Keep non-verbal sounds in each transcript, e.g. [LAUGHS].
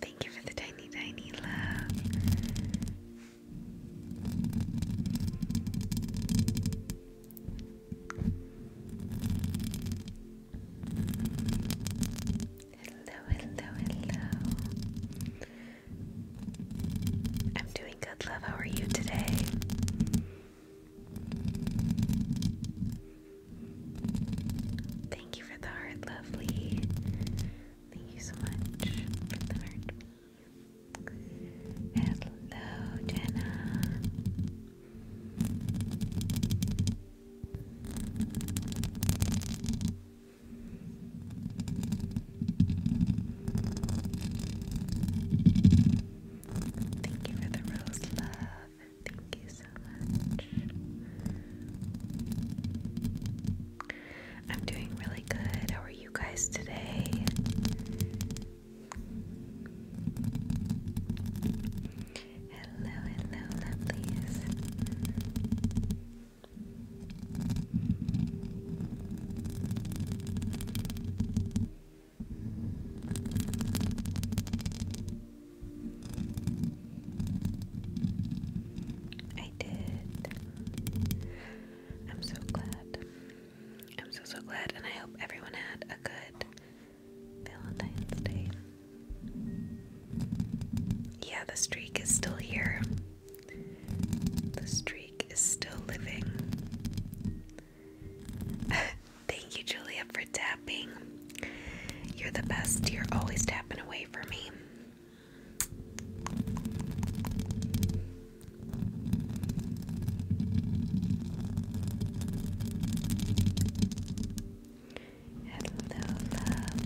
Thank you for the tiny, tiny love. Hello, hello, hello. I'm doing good, love. How are you today? Thank you for the heart, lovely. Thank you so much for the heart. Hello, Jenna. Thank you for the rose love. Thank you so much. I'm doing really good. How are you guys today? Hello, hello, lovelies. I did. I'm so glad. I'm so so glad, and I hope everyone had a good Valentine's Day. Yeah, the streak is still here. The streak is still living. [LAUGHS] Thank you, Julia, for tapping. You're the best. You're always tapping away for me. Hello, love.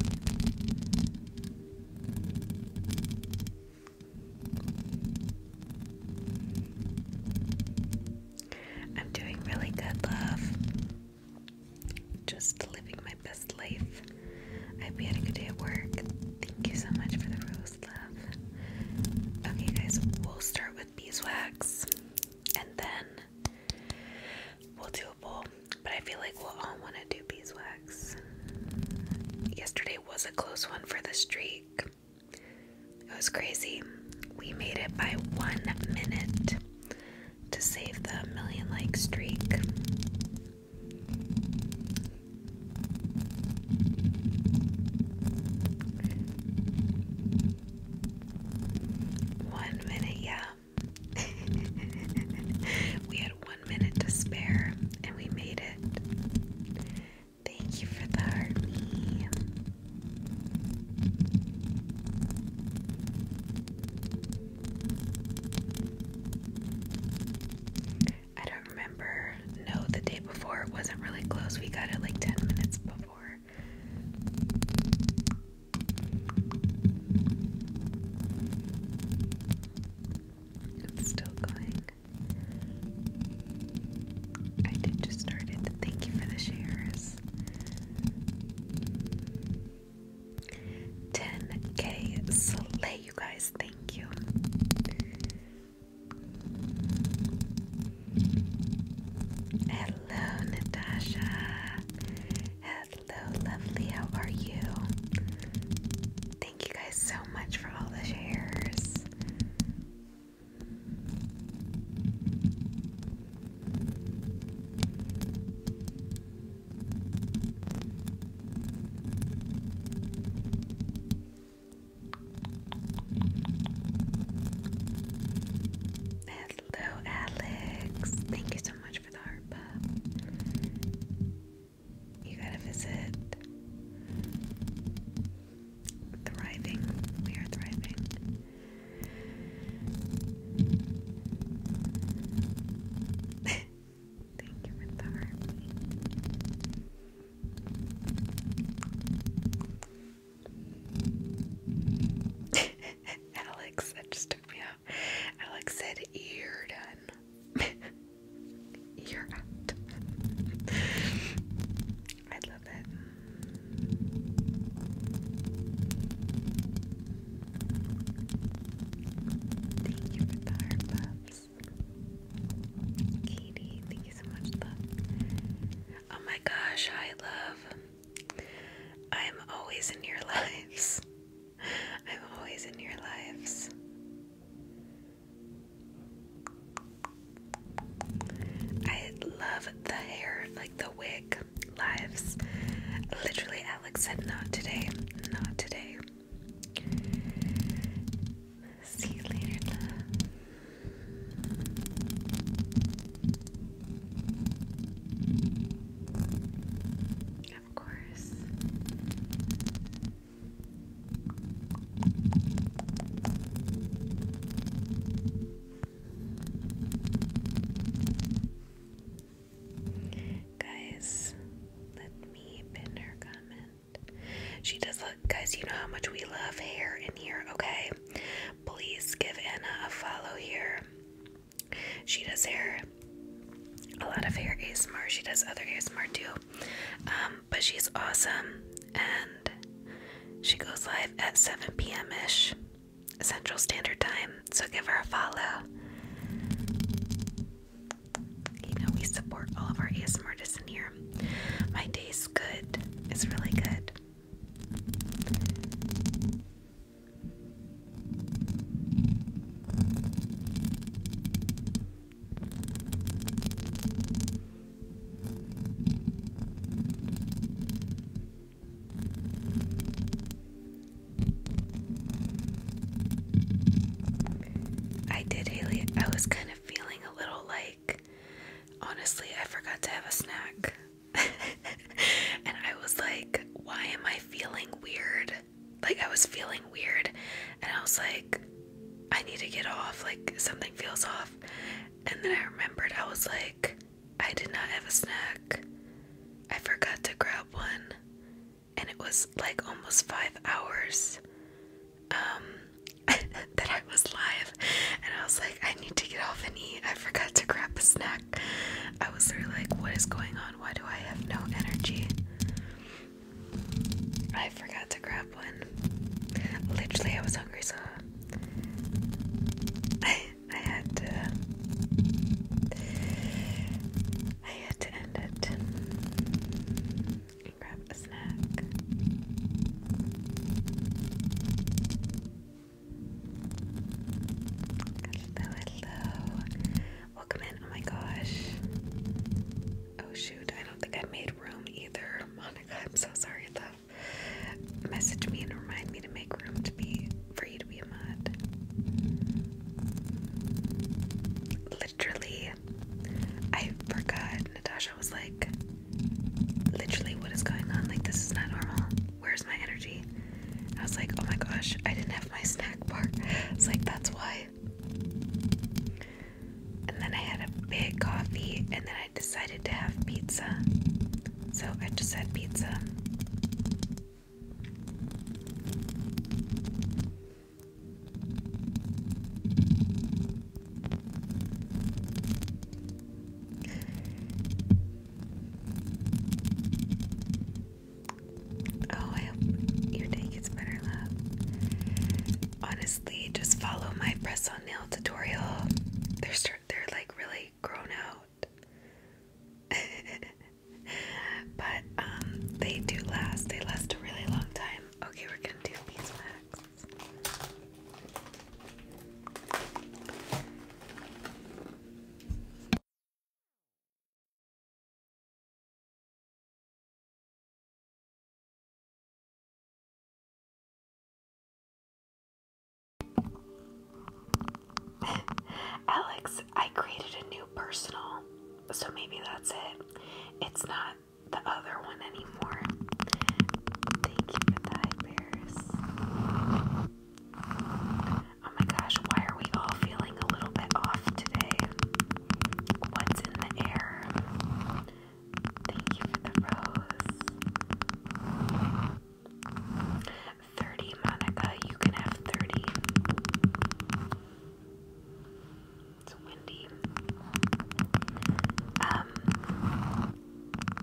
I'm doing really good, love. Just living my best life. I have been having a good day at work. Thank you so much for the rose, love. Okay, guys, we'll start with beeswax and then we'll do a bowl. But I feel like we'll all want to do beeswax. Yesterday was a close one for the streak. It was crazy. We made it by one minute to save the million like streak. One minute, yeah. [LAUGHS] we had one minute to spare and we made it. Thank you for the army. I don't remember. No, the day before it wasn't really close. We got it like 10 minutes before. still going. I did just start Thank you for the shares. 10k slay, you guys. Thank you. Hello, Natasha. Hello, lovely. How are you? Thank you guys so much for all the shares. Hello, Alex. Thank you so much for the heart pop. You gotta visit Thriving. We are thriving. [LAUGHS] Thank you for the heart. [LAUGHS] Alex, that just took me out. Alex said, You're done. [LAUGHS] You're out. I love it. Thank you for the heart Katie, thank you so much, Oh my gosh, I love. I'm always in your [LAUGHS] lives. I'm always in your lives. I love the hair, like the wig lives. Literally, Alex said, Not today, not today. See you later, Of course. Guys, let me pin her comment. She does look, guys, you know how much we love hair in here, okay? Please give Anna a follow here. She does hair, a lot of hair ASMR. She does other ASMR too. Um, but she's awesome and she goes live at 7 p.m. ish Central Standard Time, so give her a follow. You know, we support all of our ASM artists in here. My day's good, it's really good. I did, Haley. I was kind of feeling a little like, honestly, I forgot to have a snack. [LAUGHS] and I was like, why am I feeling weird? Like, I was feeling weird. And I was like, I need to get off, like something feels off. And then I remembered I was like, I did not have a snack. I forgot to grab one. And it was like almost five hours um, [LAUGHS] that I was live. And I was like, I need to get off and eat. I forgot to grab a snack. I was really like, what is going on? Why do I have no energy? I forgot to grab one. Literally, I was hungry, so I [LAUGHS] I had to I had to end it and grab a snack. Hello, Welcome in. Oh my gosh. Oh shoot, I don't think I made room either. I'm so sorry though. Message me and remind me to make room to be for you to be a mod. Literally, I forgot. Natasha was like, literally, what is going on? Like, this is not normal. Where's my energy? I was like, oh my gosh, I didn't have my snack bar. It's like, that's why. And then I had a big coffee, and then I. I decided to have pizza. So I just had pizza. Oh, I hope your day gets better, love. Honestly, just follow my press thumbnail tutorial. They're they're like really grown out, [LAUGHS] but um, they do last. They last a really long time. Okay, we're gonna do these next. [LAUGHS] Alex, I created a new personal, so maybe that's it. It's not the other one anymore. Thank you for that, Bears. Oh my gosh, why are we all feeling a little bit off today? What's in the air? Thank you for the rose. 30, Monica. You can have 30. It's windy. Um,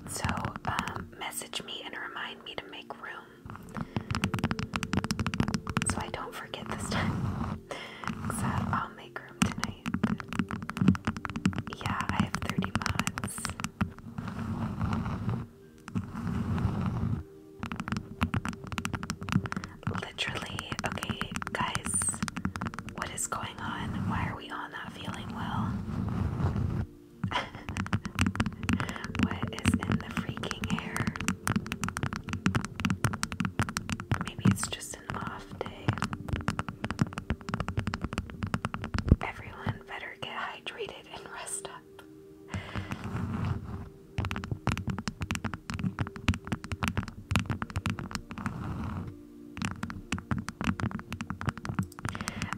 so, um, message me and remind me to make room so I don't forget this time. so [LAUGHS] uh, I'll make room tonight. Yeah, I have 30 mods. Literally, okay, guys, what is going on? Why are we all not feeling well? [LAUGHS] what is in the freaking air? Maybe it's just Everyone better get hydrated and [LAUGHS] rest up.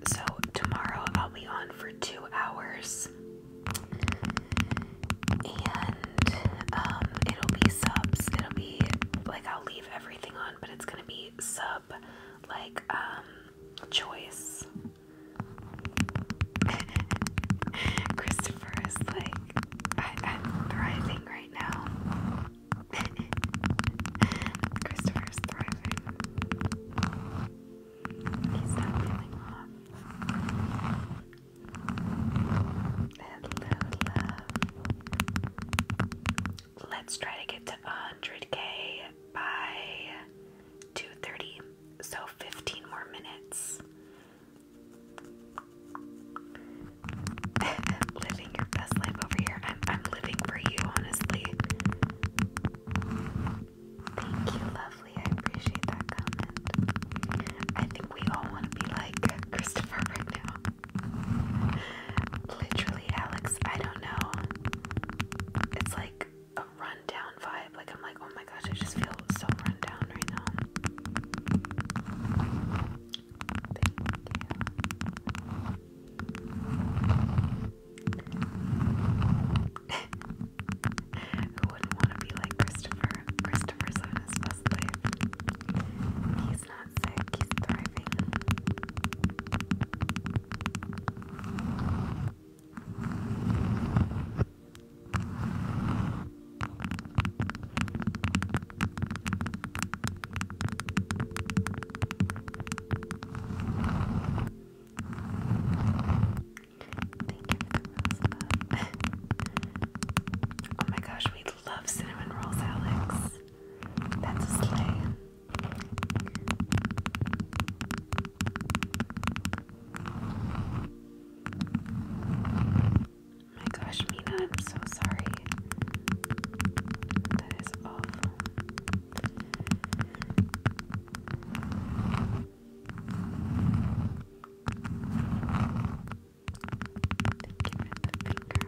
So, tomorrow I'll be on for two hours. And um, it'll be subs. It'll be like I'll leave everything on, but it's gonna be sub like um choice. [LAUGHS] Christopher is like I I'm thriving right now. [LAUGHS] Christopher's thriving. He's not feeling off. Let's try to get to 100k by 2:30. So 15 more minutes. [LAUGHS] living your best life over here. I'm I'm living for you, honestly. Thank you, lovely. I appreciate that comment. I think we all want to be like Christopher right Literally, Alex, I don't know. It's like a rundown vibe. Like, I'm like, oh my gosh, I just feel so rundown right now. [LAUGHS] Who wouldn't want to be like Christopher? Christopher's on his best He's not Thank you for the rose [LAUGHS] Oh my gosh, we love cinnamon rolls, Alex. That's a slay my gosh, Mina, I'm so sorry. That is awful. Thank you for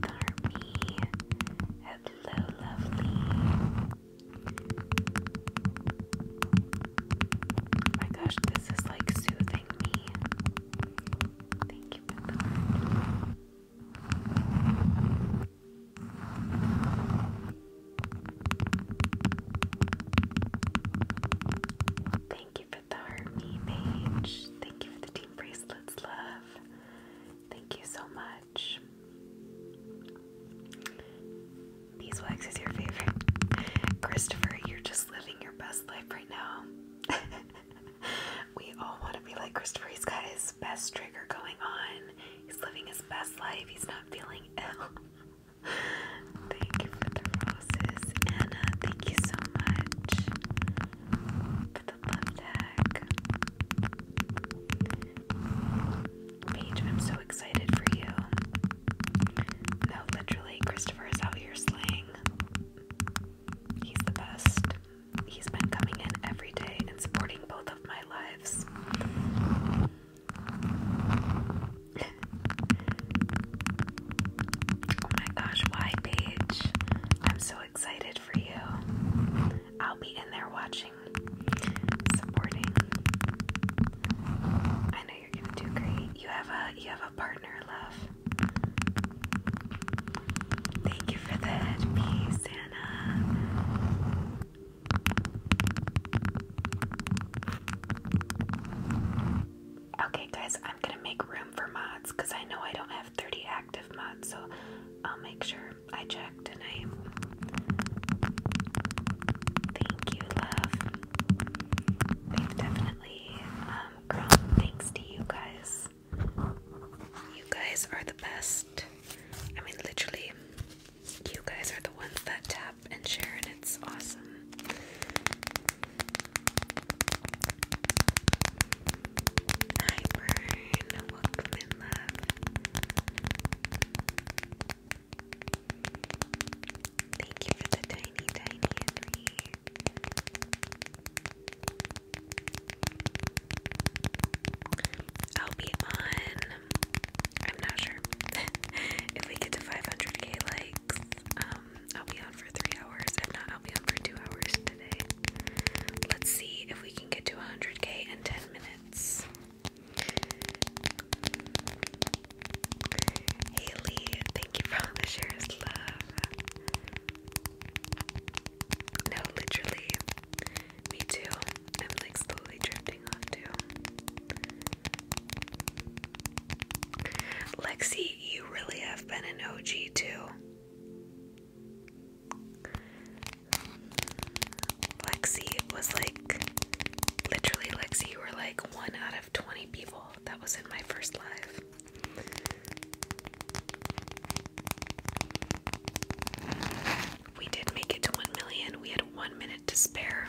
the army. Hello, lovely. Oh my gosh, this is like soothing me. Thank you for Thank you for the army mage. Thank you for the team bracelets, love. Thank you so much. Beeswax is your favorite. [LAUGHS] Christopher, you're just living your best life right now. [LAUGHS] we all want to be like Christopher. He's got his best trigger going on. He's living his best life. He's not feeling ill. [LAUGHS] thank you for the roses. Anna, thank you so much for the love tag. Paige, I'm so excited for you. No, literally, Christopher is out here slaying. He's the best. He's been coming in every day and supporting both of my lives oh my gosh, why, Paige? I'm so excited for you. I'll be in there watching, supporting. I know you're gonna do great. You have a you have a partner, love. Thank you for that, peace, Anna. Okay, guys, I'm gonna make room for mods because I know I don't have 30 active mods, so I'll make sure I check tonight. Thank you, love. They've definitely um, grown thanks to you guys. You guys are the best. I mean, literally, you guys are the ones that tap and share, and it's awesome. Hi, Brian. Welcome in, love. Thank you for the tiny, tiny Henry. I'll be on. I'm not sure [LAUGHS] if we get to 500k likes. Um, I'll be on for three hours. If not, I'll be on for two hours today. Let's see if we can get to 100k in 10 minutes. Haley, thank you for the shares, love. No, literally. Me too. I'm like slowly drip Lexi, you really have been an OG too. Lexi was like, literally, Lexi, you were like one out of 20 people that was in my first live. We did make it to 1 million. We had one minute to spare.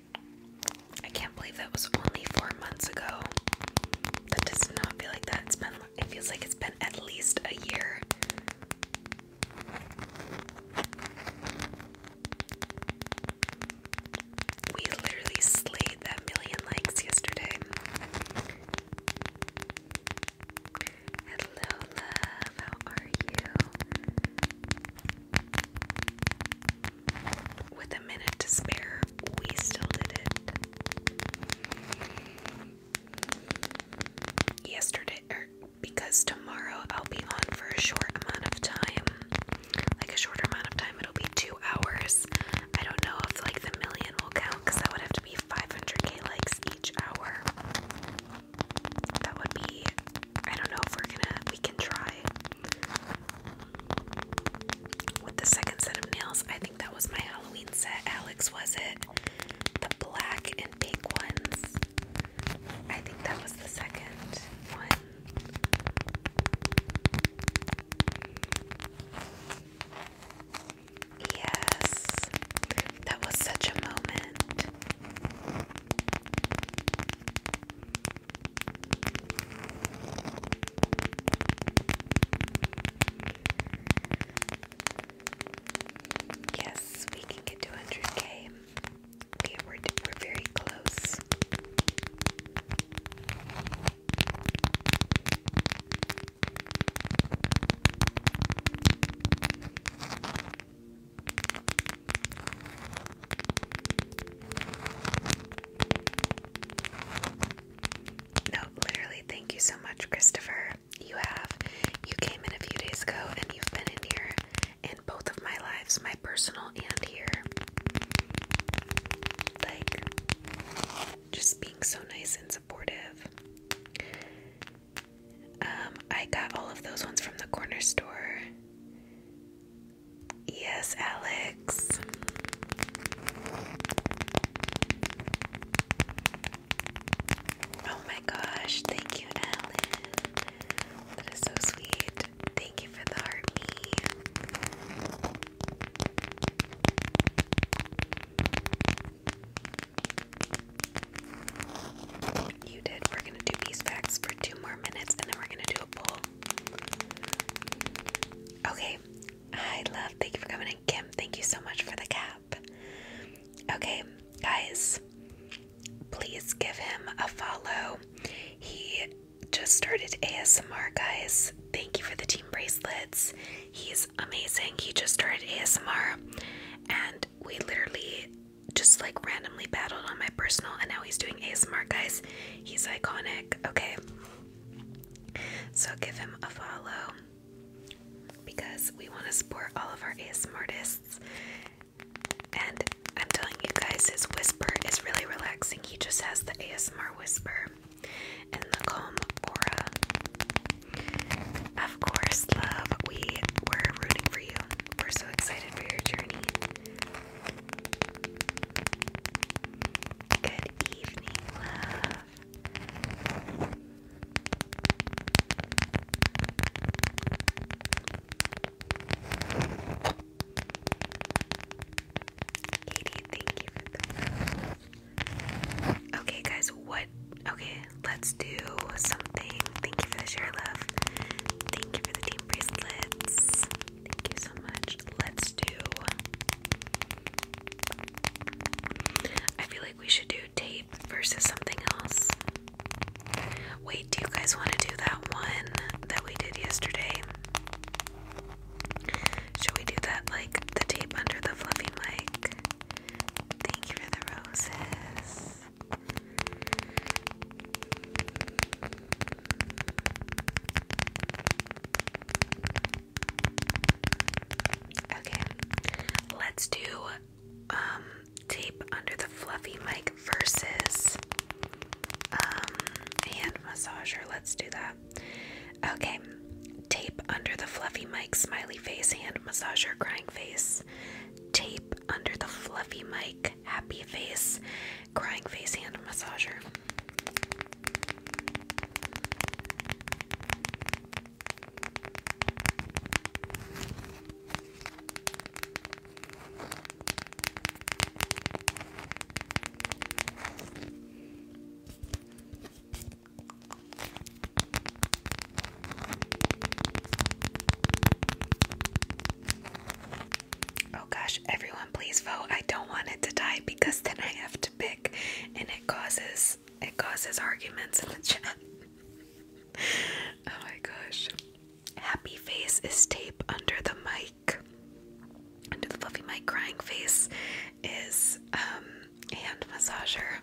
I can't believe that was only four months ago. That does not feel like that. It's been, feels like it's been at least a year. We literally slayed that million likes yesterday. Hello, How are you? with a minute to spare, we still did it. Yesterday, er, because tomorrow I'll be on for a short amount of time, like a shorter amount of time, it'll be two hours. I don't know if like the million will count because that would have to be 500k likes each hour. That would be, I don't know if we're gonna, we can try. With the second set of nails, I think that was my Halloween set. Alex, was it? The black and pink ones. I think that was the second one. Yes, that was such a moment. Yes, we can get to 100k. Okay, we're, we're very close. No, literally, thank you so much, Christopher. You have. You came in a few days ago and you've been in here in both of my lives, my personal and here. Like, just being so nice and supportive. Um, I got all of those ones from the corner store. Yes, Alex. Oh my gosh, thank you, Alan. That is so sweet. Thank you for the heart You did. We're gonna do these facts for two more minutes and then we're gonna do a poll. Okay, I love. Thank you for coming in, Kim. Thank you so much for the cap. Okay, guys, please give him a follow. He just started ASMR, guys. Thank you for the team bracelets. He's amazing. He just started ASMR, and we literally just like randomly battled on my personal, and now he's doing ASMR, guys. He's iconic. Okay. So give him a follow because we want to support all of our ASMR artists. And I'm telling you guys, his whisper is really relaxing. He just has the ASMR whisper and the calm aura. Of course, love, we were rooting for you. We're so excited for your journey. Good evening, love. Katie, thank you for the Okay, guys, what? Okay, let's do something. Thank you for the share, love. Thank you for the deep bracelets. Thank you so much. Let's do. I feel like we should do tape versus something else. Wait, do you guys want to do that one that we did yesterday? Should we do that like the tape under the fluffy mic? Thank you for the roses. Okay, let's do um, tape under the fluffy mic versus um, hand massager. Let's do that. Okay, tape under the fluffy mic, smiley face, hand massager, crying face. Tape under the fluffy mic, happy face, crying face, hand massager. Oh gosh, everyone please vote. I don't want it to die because then I have to pick and it causes it causes arguments in the chat. oh my gosh. Happy face is tape under the mic. Under the fluffy mic crying face is um hand massager.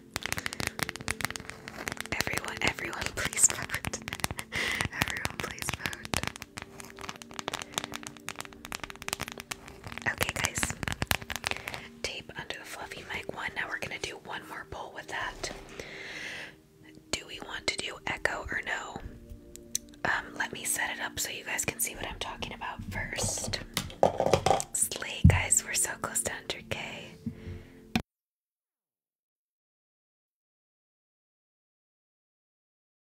Everyone, everyone [LAUGHS] please vote. everyone please vote. Okay, guys. Tape under the fluffy mic one. Now we're gonna do one more pull with that. Do we want to do echo or no? Um, let me set it up so you guys can see what I'm talking about first. Slay, guys, we're so close to 100k.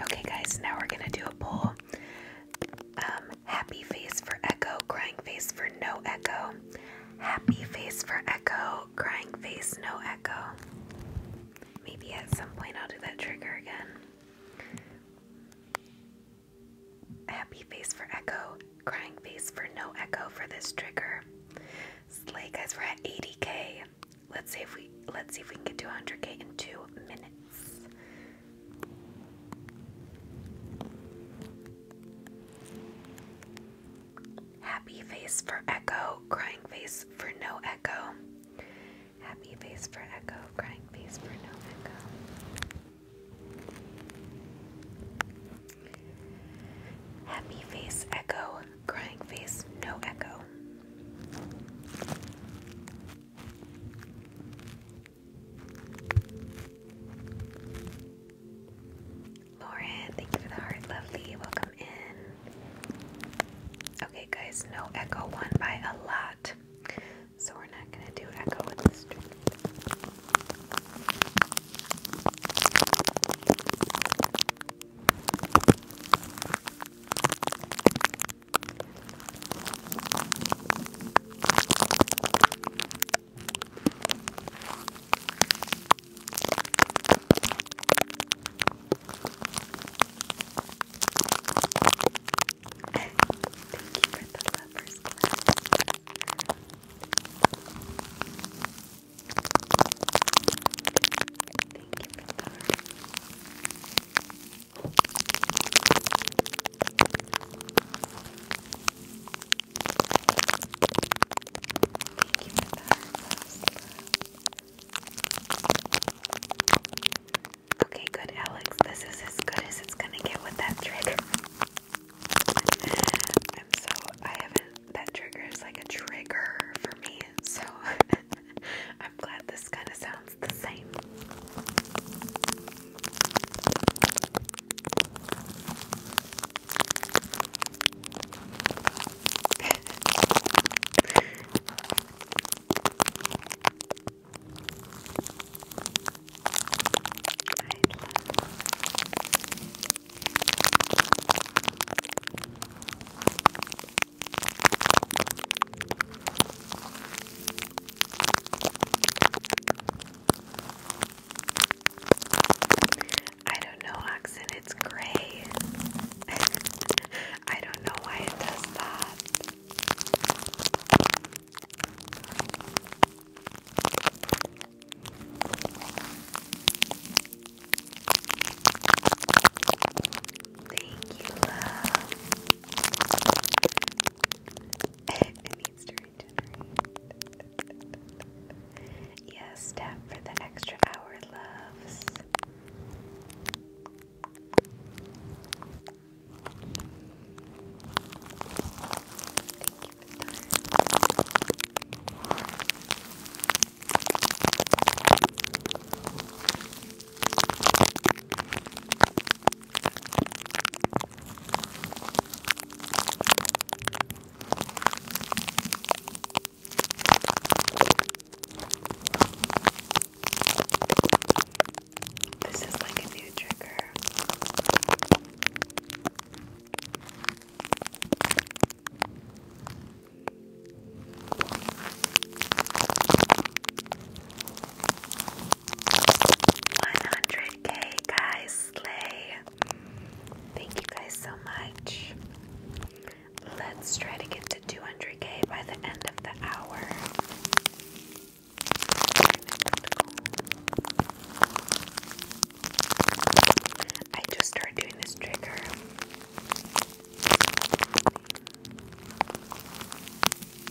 Okay, guys, now we're gonna do a poll. Um, happy face for echo, crying face for no echo. Happy face for echo, crying face, no echo. Maybe at some point I'll do that trigger again. Happy face for echo, crying face for no echo for this trigger. Slay guys, we're at 80k. Let's see if we let's see if we can get to 100k in two minutes. Happy face for echo, crying face for no echo. Happy face for echo, crying face for no echo. Happy face echo, crying face no echo. Lauren, thank you for the heart, lovely. Welcome in. Okay, guys, no echo one by a lot. So we're not gonna do echo with this string. [LAUGHS] Thank you for the lovers. Class. Okay, good, Alex. This is as good as it's gonna get with that trick. I'm so I haven't that trigger is like a trigger for me, so [LAUGHS] I'm glad this kind of sounds the same. [LAUGHS] I don't know, Oxen, it's gray. [LAUGHS] I don't know why it does that. Thank you, love. it needs to regenerate. yes, tap for the extra hour, loves. This is like a new trigger. 100k guys slay thank you guys so much let's try to get to 200k by the end of the hour I just started doing this trigger. Thank you.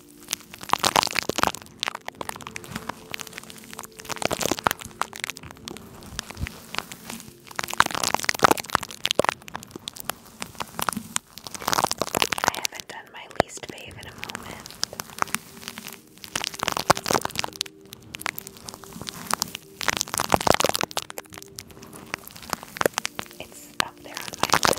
I haven't done my least fave in a moment. It's up there on my list.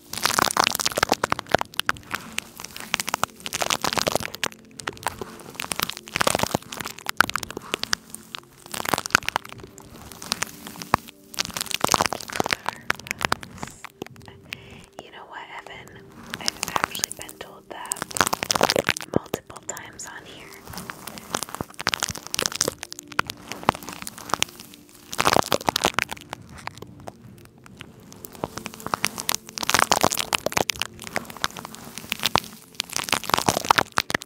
You know what, Evan? I've actually been told that multiple times on here.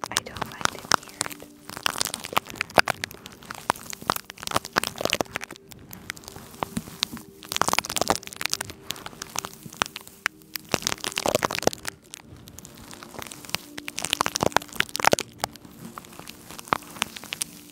I don't mind it weird. I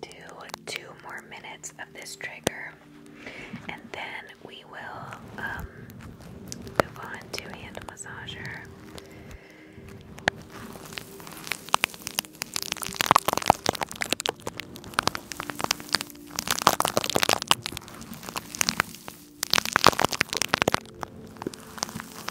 do two more minutes of this trigger and then we will um, move on to hand massager.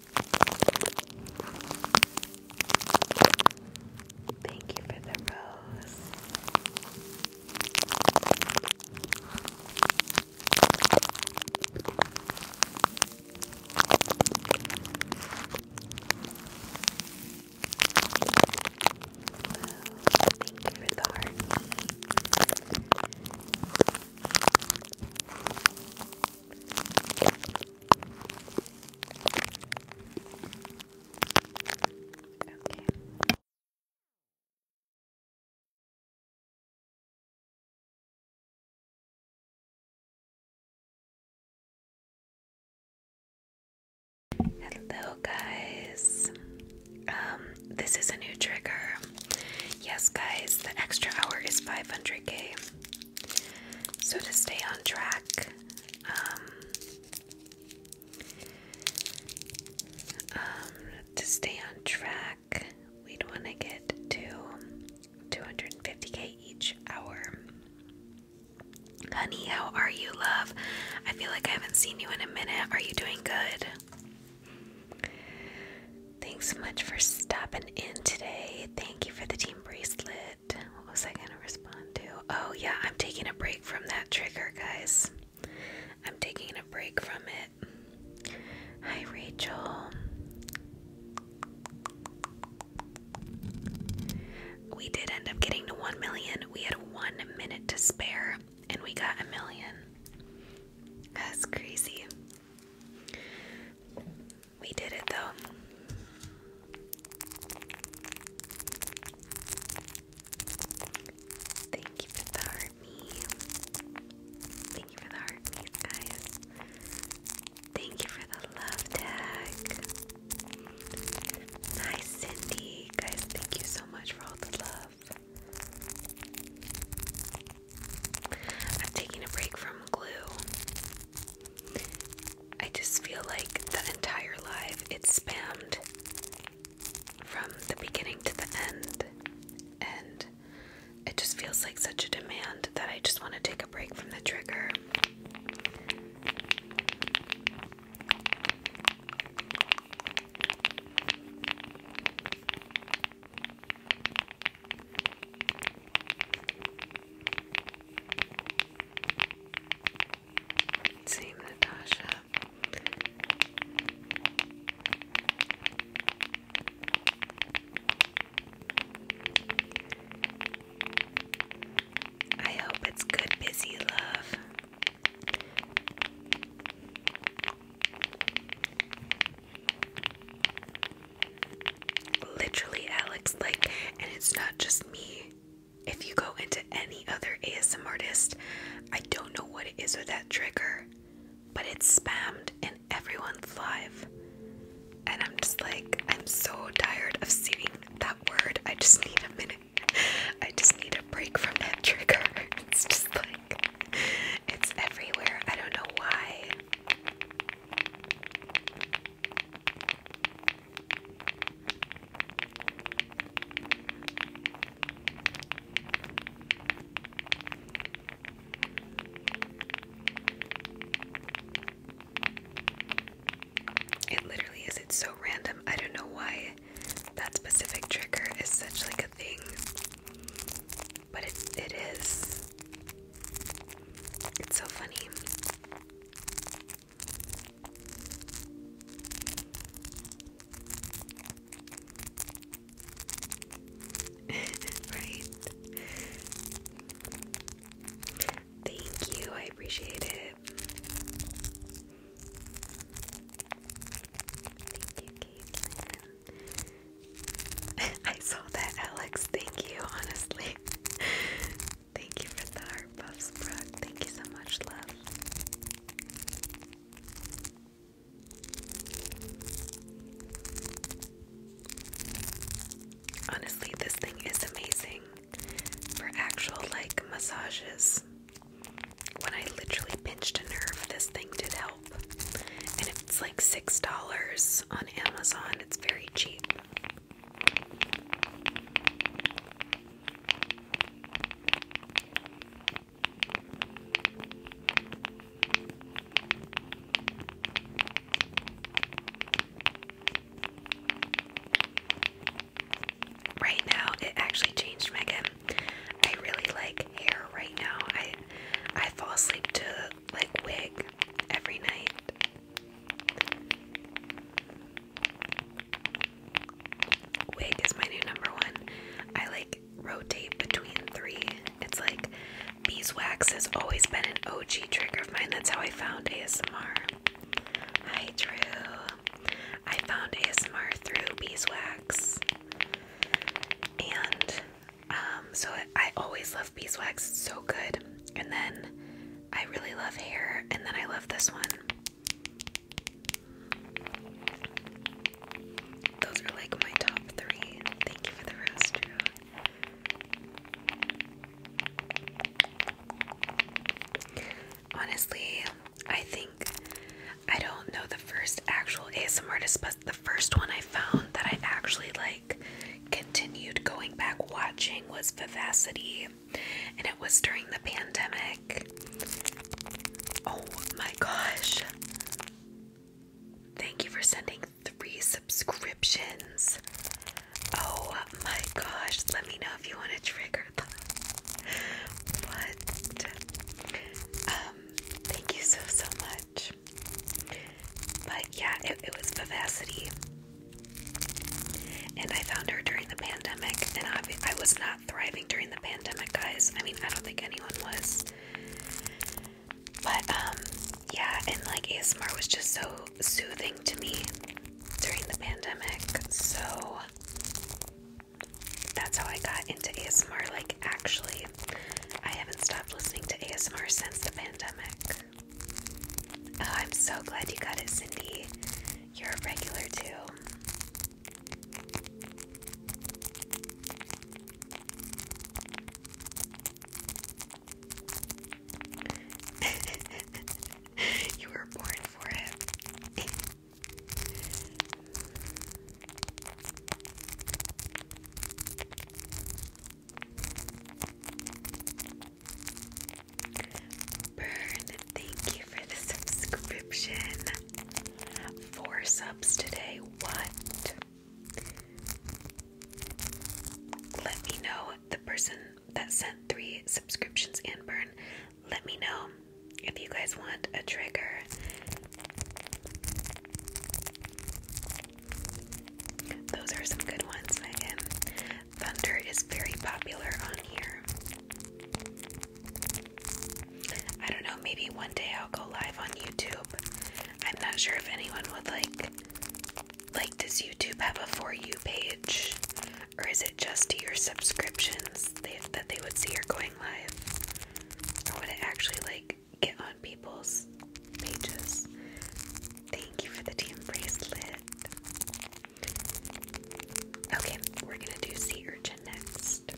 Thank you for the rose. thank you for the heart. Hello, guys. Um, this is a new trigger. Yes, guys, the extra hour is 500k. So, to stay on track, um, um to stay on track, we'd want to get to 250k each hour. Honey, how are you, love? I feel like I haven't seen you in a minute. Are you doing good? Thanks so much for stopping in today. Thank you for the team bracelet. What was I going to respond to? Oh, yeah, I'm taking a break from that trigger, guys. I'm taking a break from it. Hi, Rachel. We did end up getting to 1 million. We had one minute to spare, and we got a million. That's crazy. We did it though. Thank you for the heart me. Thank you for the heart me, guys. Thank you for the love tag. Nice, Cindy. Guys, thank you so much for all the love. I'm taking a break from glue. I just feel like that entire live it's spammed from the beginning to the end, and it just feels like such a demand that I just want to take a break from the trigger. Same Natasha. I hope it's good, busy love. Literally, Alex, like, and it's not just me. If you go into any other ASM artist, I don't know what it is with that trigger, but it's spammed in everyone's live. And I'm just like, I'm so tired of seeing that word. I just need a minute. I just need a break from that [LAUGHS] trigger. It's just like, it's everywhere. I don't know why. It literally is. It's so random. I don't know why that specific trigger is such like a thing. But it it is. It's so funny. [LAUGHS] right. Thank you. I appreciate it. Thank you, Caitlin. [LAUGHS] I that, Alex. Thank you, honestly. [LAUGHS] Thank you for the heart puffs, Thank you so much, love. Honestly, this thing is amazing for actual like massages. When I literally pinched a nerve, this thing did help. And it's like $6 on Amazon, it's very cheap. Right now, it actually changed, Megan. I really like hair right now. I I fall asleep to like wig every night. Wig is my new number one. I like rotate between three. It's like beeswax has always been an OG trigger of mine. That's how I found ASMR. I Drew. I found ASMR through beeswax. And um, so I always love beeswax, so good. And then I really love hair, and then I love this one. Those are like my top three. Thank you for the rest, Honestly, I think I don't know the first actual ASMR the first one I found that I actually like continued going back watching was Vivacity, and it was during the pandemic. Oh my gosh! Thank you for sending three subscriptions. Oh my gosh, let me know if you want to trigger them. But um, thank you so so much. But yeah, it was Vivacity. And I found her during the pandemic, and I, was not thriving during the pandemic, guys. I mean, I don't think anyone was. But, um, yeah, and like ASMR was just so soothing to me during the pandemic. So, that's how I got into ASMR. Like, actually, I haven't stopped listening to ASMR since the pandemic. Oh, I'm so glad you got it, Cindy. You're a regular too. [LAUGHS] you were born for it. Burn, thank you for the subscription. Four subs today. What? Let me know the person that sent three subscriptions and burn. Let me know if you guys want a trigger. Those are some good ones, Megan. Thunder is very popular on here. I don't know, maybe one day I'll go live on YouTube. I'm not sure if anyone would like like does YouTube have a for you page or is it just to your subscriptions that they would see you're going live? Or would it actually like get on people's pages? Thank you for the team bracelet. Okay, we're gonna do sea urchin next.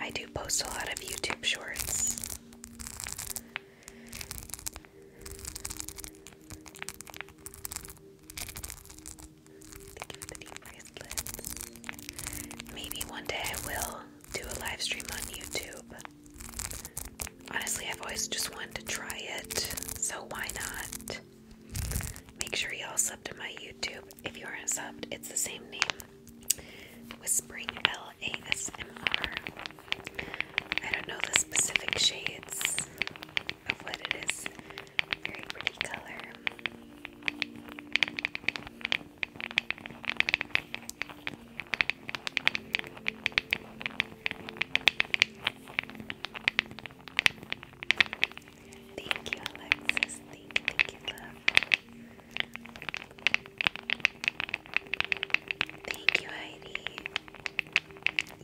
I do post a lot of YouTube shorts. Thank you for the deep bracelets. Maybe one day I will do a live stream on YouTube. Honestly, I've always just wanted to try it, so why not? Make sure y'all sub to my YouTube. If you aren't subbed, it's the same name. Whispering L A S M R. I don't know the specific shades of what it is. Very pretty color.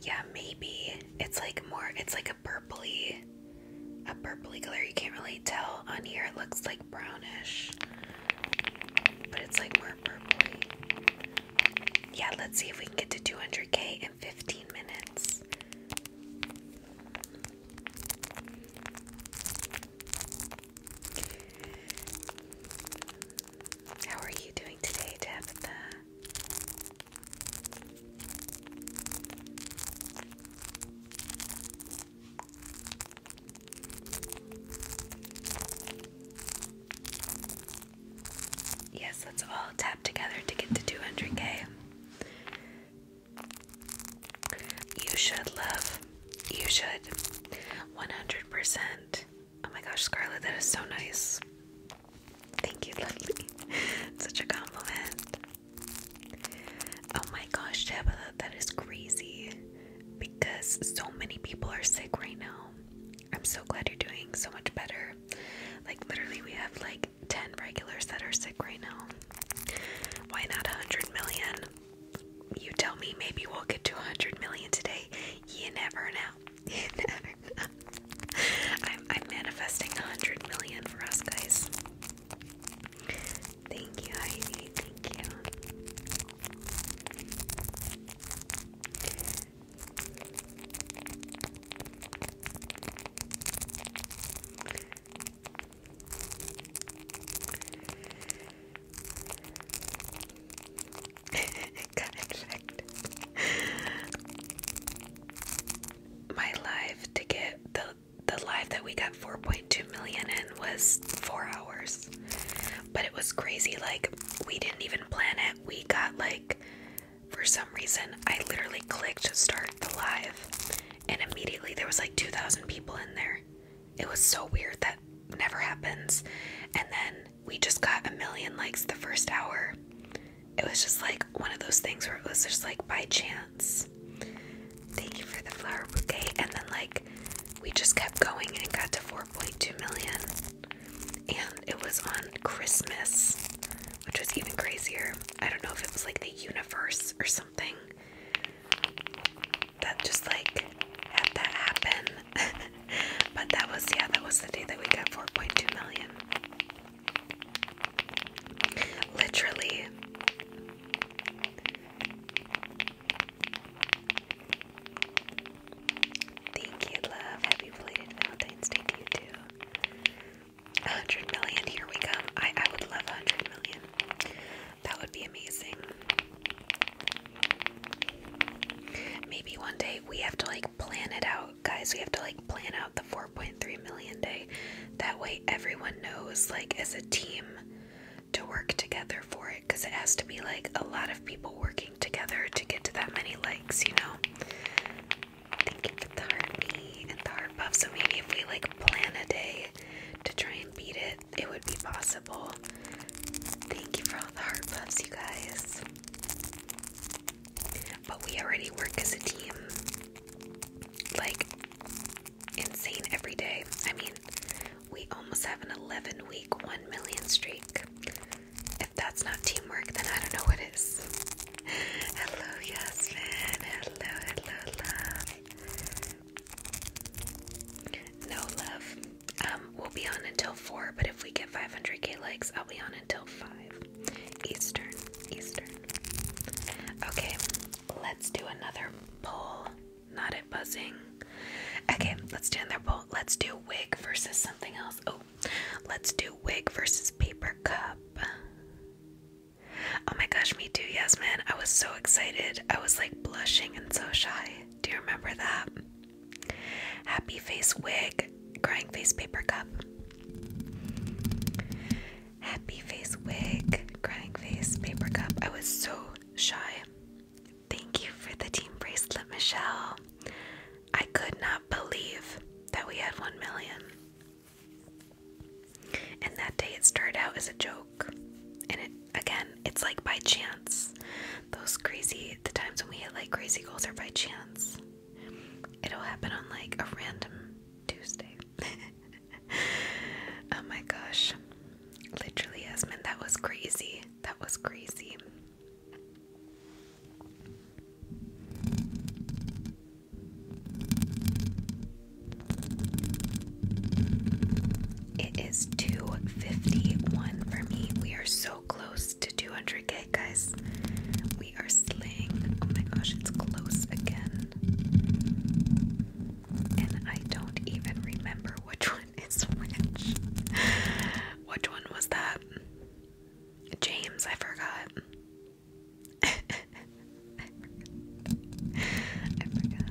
Yeah, maybe it's like more, it's like a purpley, a purpley color. You can't really tell on here. It looks like brownish but it's like more purpley. Yeah, let's see if we can get to 200k in 15 minutes. How are you doing today, Tabitha? Yes, let's all tap together to get to 200k. You should love. You should. 100%. Oh my gosh, Scarlett, that is so nice. Thank you, lovely. [LAUGHS] Such a compliment. Oh my gosh, Tabitha, that is crazy. Because so many people are sick right now. I'm so glad you're doing so much better. Like, literally, we have like 10 regulars that are sick right now. Why not 100 million? You tell me, maybe we'll get to 100 million today. [LAUGHS] You never know. I'm, I'm manifesting 100 million for us, guys. Thank you, Heidi. Thank you it [LAUGHS] got My live to get the the live that we got 4.2 million in was four hours. But it was crazy. Like, we didn't even plan it. We got, like, for some reason, I literally clicked to start the live, and immediately there was like 2,000 people in there. It was so weird that never happens. And then we just got a million likes the first hour. It was just like one of those things where it was just like by chance. Thank you for the flower bouquet. And then, like, we just kept going and got to four. 4.2 million. And it was on Christmas, which was even crazier. I don't know if it was like the universe or something that just like had that happen. [LAUGHS] but that was, yeah, that was the day that we got 4.2 million. Literally, Thank you, love. Happy belated Valentine's Day to you too. 100 million, here we come. I, I would love 100 million. That would be amazing. Maybe one day we have to like plan it out, guys. We have to like plan out the 4.3 million day. That way everyone knows, like, as a team to work together for it because it has to be like a lot of people working together to get to that many likes, you know? Thank you for the heartbeat and the heart buff. So maybe if we like plan a day to try and beat it, it would be possible. Thank you for all the heart buffs, you guys. But we already work as a team. Like, insane every day. I mean, we almost have an 11 week, 1 million streak. If that's not teamwork, then I don't know what is. Hello, Yasmin. Hello, hello, love. No love. Um, we'll be on until four, but if we get 500k likes, I'll be on until five Eastern. Eastern. Okay, let's do another poll. Not at buzzing. Okay, let's do another poll let's do wig versus something else. Oh, let's do wig versus paper cup. Oh my gosh, me too, Yasmin. I was so excited. I was like blushing and so shy. Do you remember that? Happy face wig, crying face paper cup. Happy face wig, crying face paper cup. I was so shy. Thank you for the team bracelet, Michelle. I could not believe that we had 1 million. And that day it started out as a joke. And it again, it's like by chance. Those crazy the times when we hit like crazy goals are by chance. It'll happen on like a random Tuesday. [LAUGHS] oh my gosh. Literally, Esmond, that was crazy. That was crazy. It is 251 for me. We are so close to 200k, guys. We are slaying. Oh my gosh, it's close again. And I don't even remember which one is which. [LAUGHS] which one was that? James, I forgot. [LAUGHS] I forgot.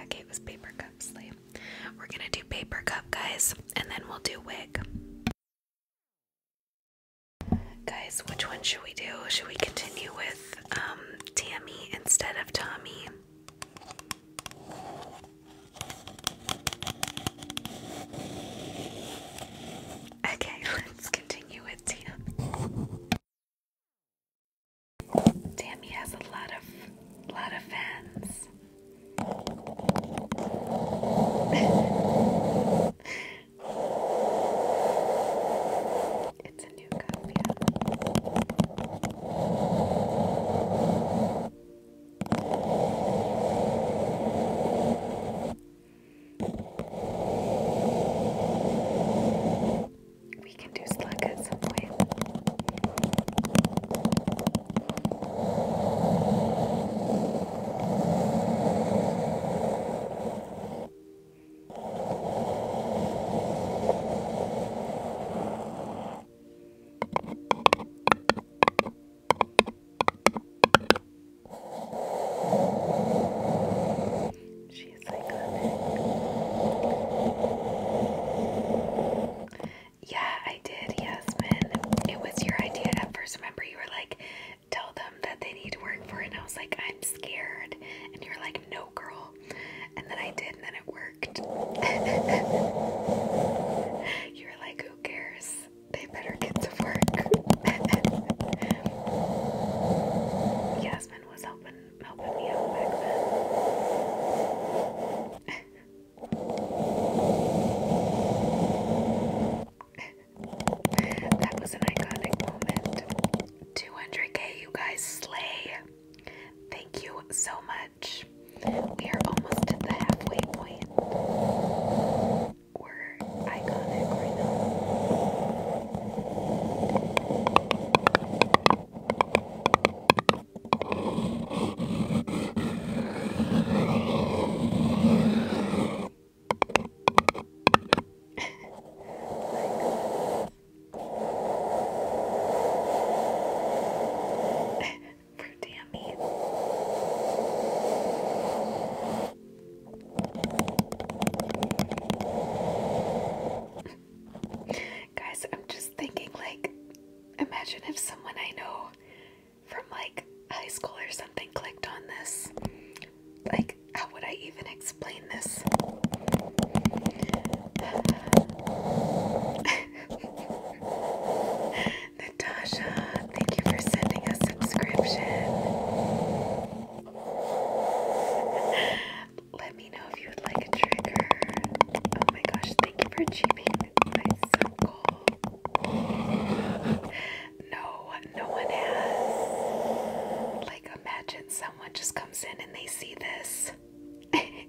Okay, it was paper cup sleeve. We're gonna do paper cup, guys, and then we'll do wig. Guys, which one should we do? Should we continue with um Tammy instead of Tommy? Okay, [LAUGHS] let's continue with Tam. Tammy has a lot of lot of fans. [LAUGHS] We can do slug at some way. She's iconic. Yeah, I did, Yasmin. It was your idea at first. Remember, you were like, tell them that they need to work for it. And I was like, I'm scared. And you are like, no girl. And then I did, and then it worked. [LAUGHS] you were like, who cares? They better get to work. [LAUGHS] Yasmin was helping helping me out back then. [LAUGHS] that was an iconic moment. 200k, you guys slay. Thank you so much. We are almost at the halfway point. We're iconic [LAUGHS] For [LAUGHS] Tammy. Guys, I'm just thinking like, imagine if someone I know from like high school or something clicked on this. Like, how would I even explain [LAUGHS] Natasha, thank you for sending a subscription. Let me know if you would like a trigger. Oh my gosh, thank you for achieving my sub goal. No, no one has. Like, imagine someone just comes in and they see this. [LAUGHS] I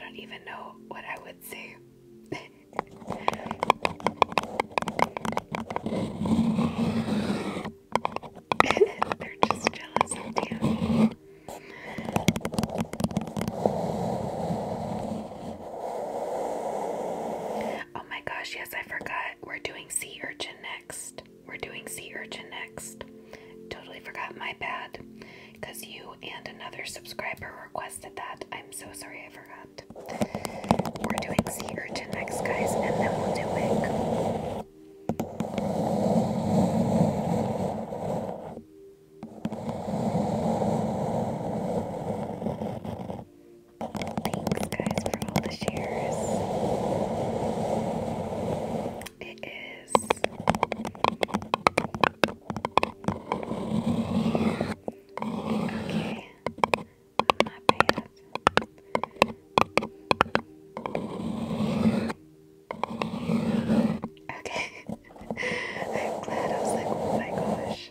don't even know what I would say. [LAUGHS] They're just jealous of Dan. Oh, my Oh my gosh, yes, I forgot. We're doing sea urchin next. We're doing sea urchin next. Totally forgot, my bad. Because you and another subscriber requested that. I'm so sorry I forgot. We're doing sea urchin next, guys, and then we'll do wig. Thanks, guys, for all the shares. It is okay. My bad. Okay. [LAUGHS] I'm glad. I was like, oh my gosh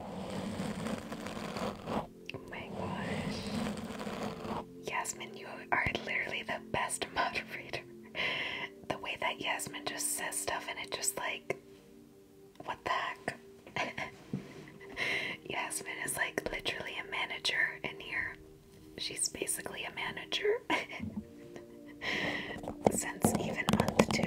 Oh my gosh. Yasmin, you are literally the best [LAUGHS] moderator. the way that Yasmin just says stuff and it just like, what the heck? [LAUGHS] Yasmin is like literally a manager in here. She's basically a manager [LAUGHS] since even month two.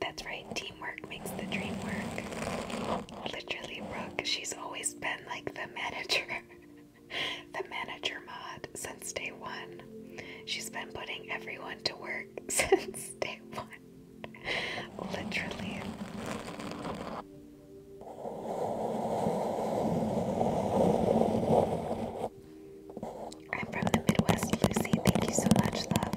That's right, teamwork makes the dream work. Literally, Brooke, she's always been like the manager, [LAUGHS] the manager mod. So since day one. She's been putting everyone to work [LAUGHS] since day one. Literally. I'm from the Midwest, Lucy. Thank you so much, love.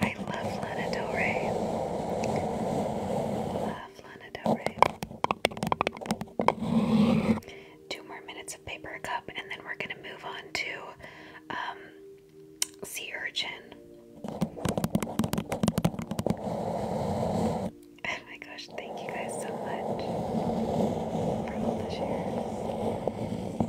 I love Lana Del Rey. Love Lana Del Rey. Two more minutes of paper cup, and then we're gonna move on to um, sea urchin. Oh my gosh! Thank you guys so much for all the shares.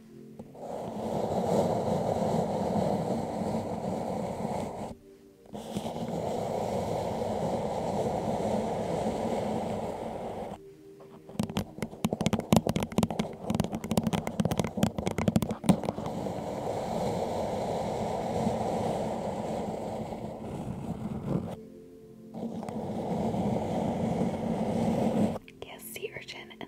Yes, sea urchin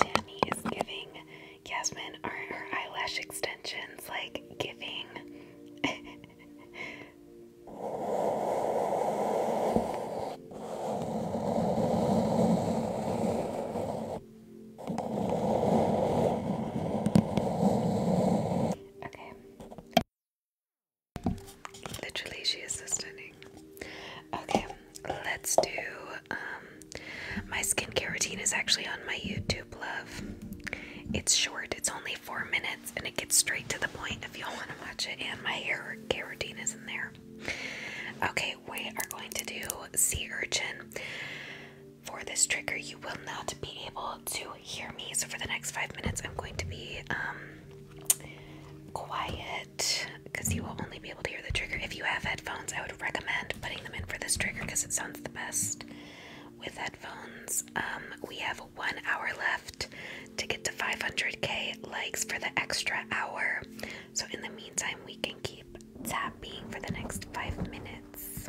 and is giving Yasmin her eyelash extensions like giving. Okay. Literally, she is stunning. Okay, let's do. Um, my skincare routine is actually on my YouTube, love. It's short, it's only four minutes, and it gets straight to the point if y'all want to watch it. And my hair care routine is in there. Okay, we are going to do sea urchin for this trigger, you will not be able to hear me. So, for the next five minutes, I'm going to be um, quiet because you will only be able to hear the trigger. If you have headphones, I would recommend putting them in for this trigger because it sounds the best with headphones. Um, we have one hour left to get to 500k likes for the extra hour. So, in the meantime, we can keep tapping for the next five minutes.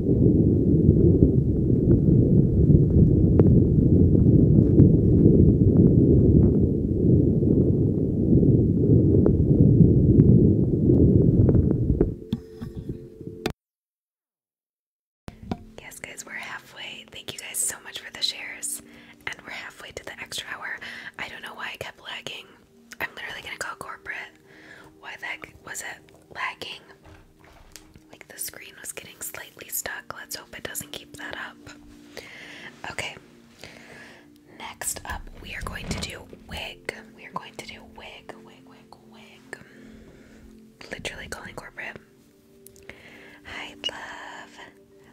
Yes, guys, we're halfway. Thank you guys so much for the shares. And we're halfway to the extra hour. I don't know why I kept lagging. I'm literally gonna call corporate. Why that was it lagging? Like the screen was getting slightly stuck. Let's hope it doesn't keep that up. Okay. Next up, we are going to do wig. We are going to do wig, wig, wig, wig. Literally calling corporate. Hi, love.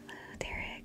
Hello, Derek.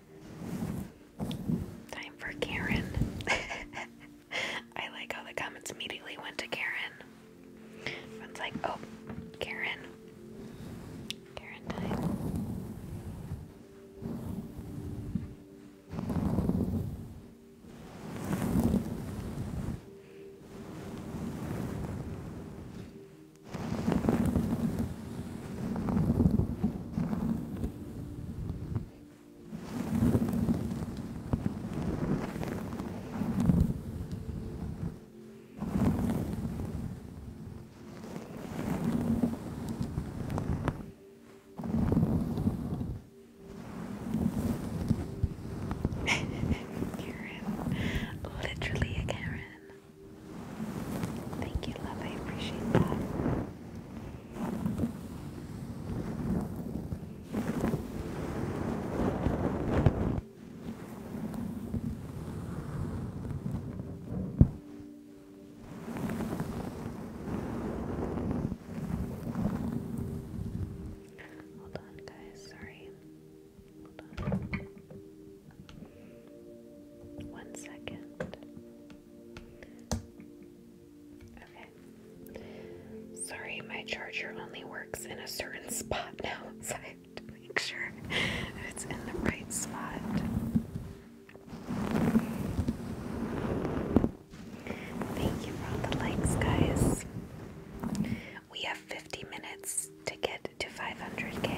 Time for Karen. [LAUGHS] I like how the comments immediately went to Karen. Everyone's like, oh, Karen. Karen time. Karen, literally a Karen. Thank you, love. I appreciate that. Hold on, guys. Sorry. Hold on. One second. Okay. Sorry, my charger only works in a certain spot [LAUGHS] now, so I have to make sure it's in the right spot. Thank you for all the likes, guys. We have 50 minutes to get to 500k.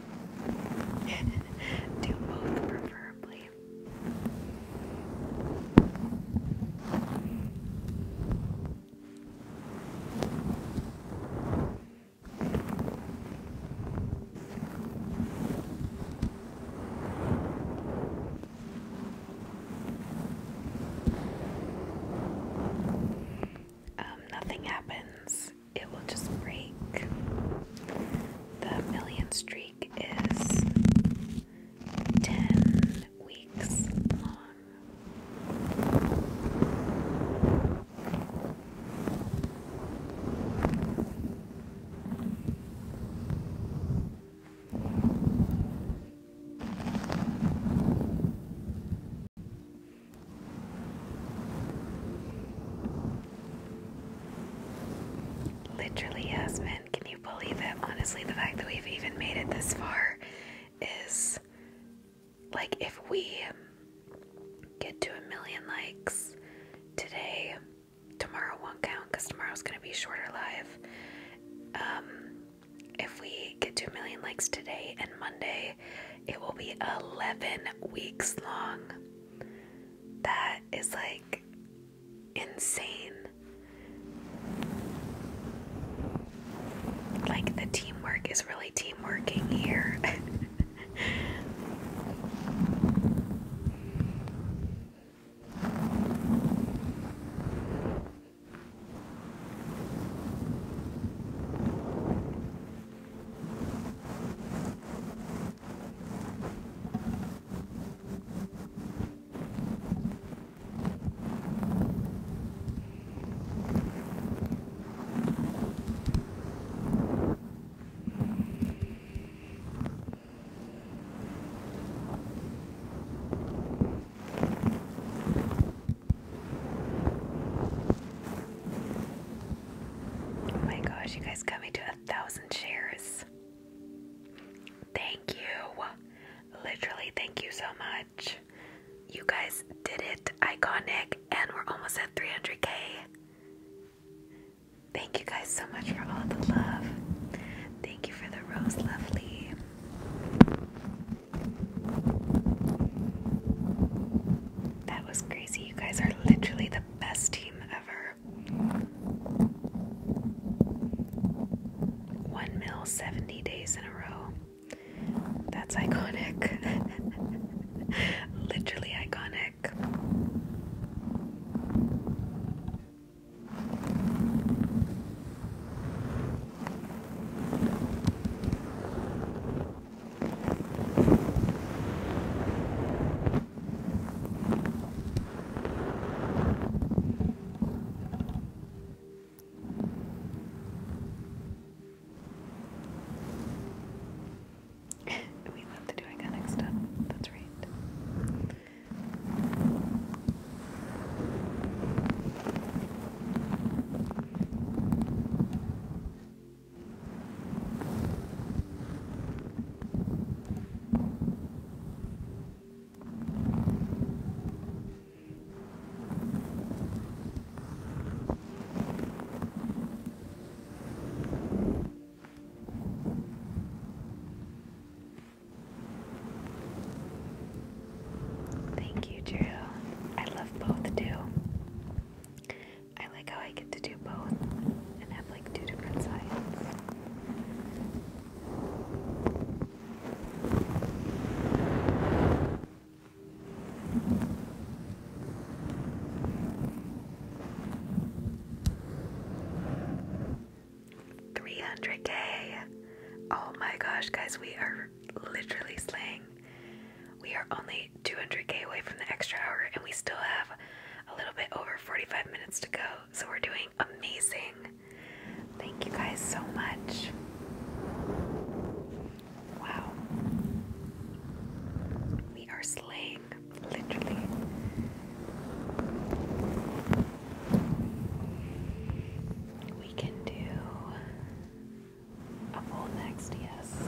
[LAUGHS] Do both preferably. Um, nothing happens it will just break. The million streak is 10 weeks long. Literally, Yasmin, can you believe it? Honestly, the fact that we've even made it this far is like if we get to a million likes today, tomorrow won't count because tomorrow's gonna be shorter live. Um, if we get to a million likes today and Monday, it will be 11 weeks long that is like insane. Like the teamwork is really teamworking here. [LAUGHS] Oh my gosh, you guys got me to thousand shares. Thank you. Literally, thank you so much. You guys did it. Iconic. And we're almost at 300k. Thank you guys so much for all the love. Thank you for the rose, lovely. That was crazy. You guys are literally the best team ever. One mil 70 days in a row. That's iconic. [LAUGHS] Literally iconic. [LAUGHS] we love the do iconic stuff. That's right. Thank you, Drew. I love both, too. I like how I get to do both and have like two different sides. Three hundred K. Oh my gosh, guys, we are literally slaying. We are only 200k away from the extra hour, and we still have a little bit over 45 minutes to go, so we're doing amazing. Thank you guys so much. Wow. We are slaying, literally. We can do a full next, yes.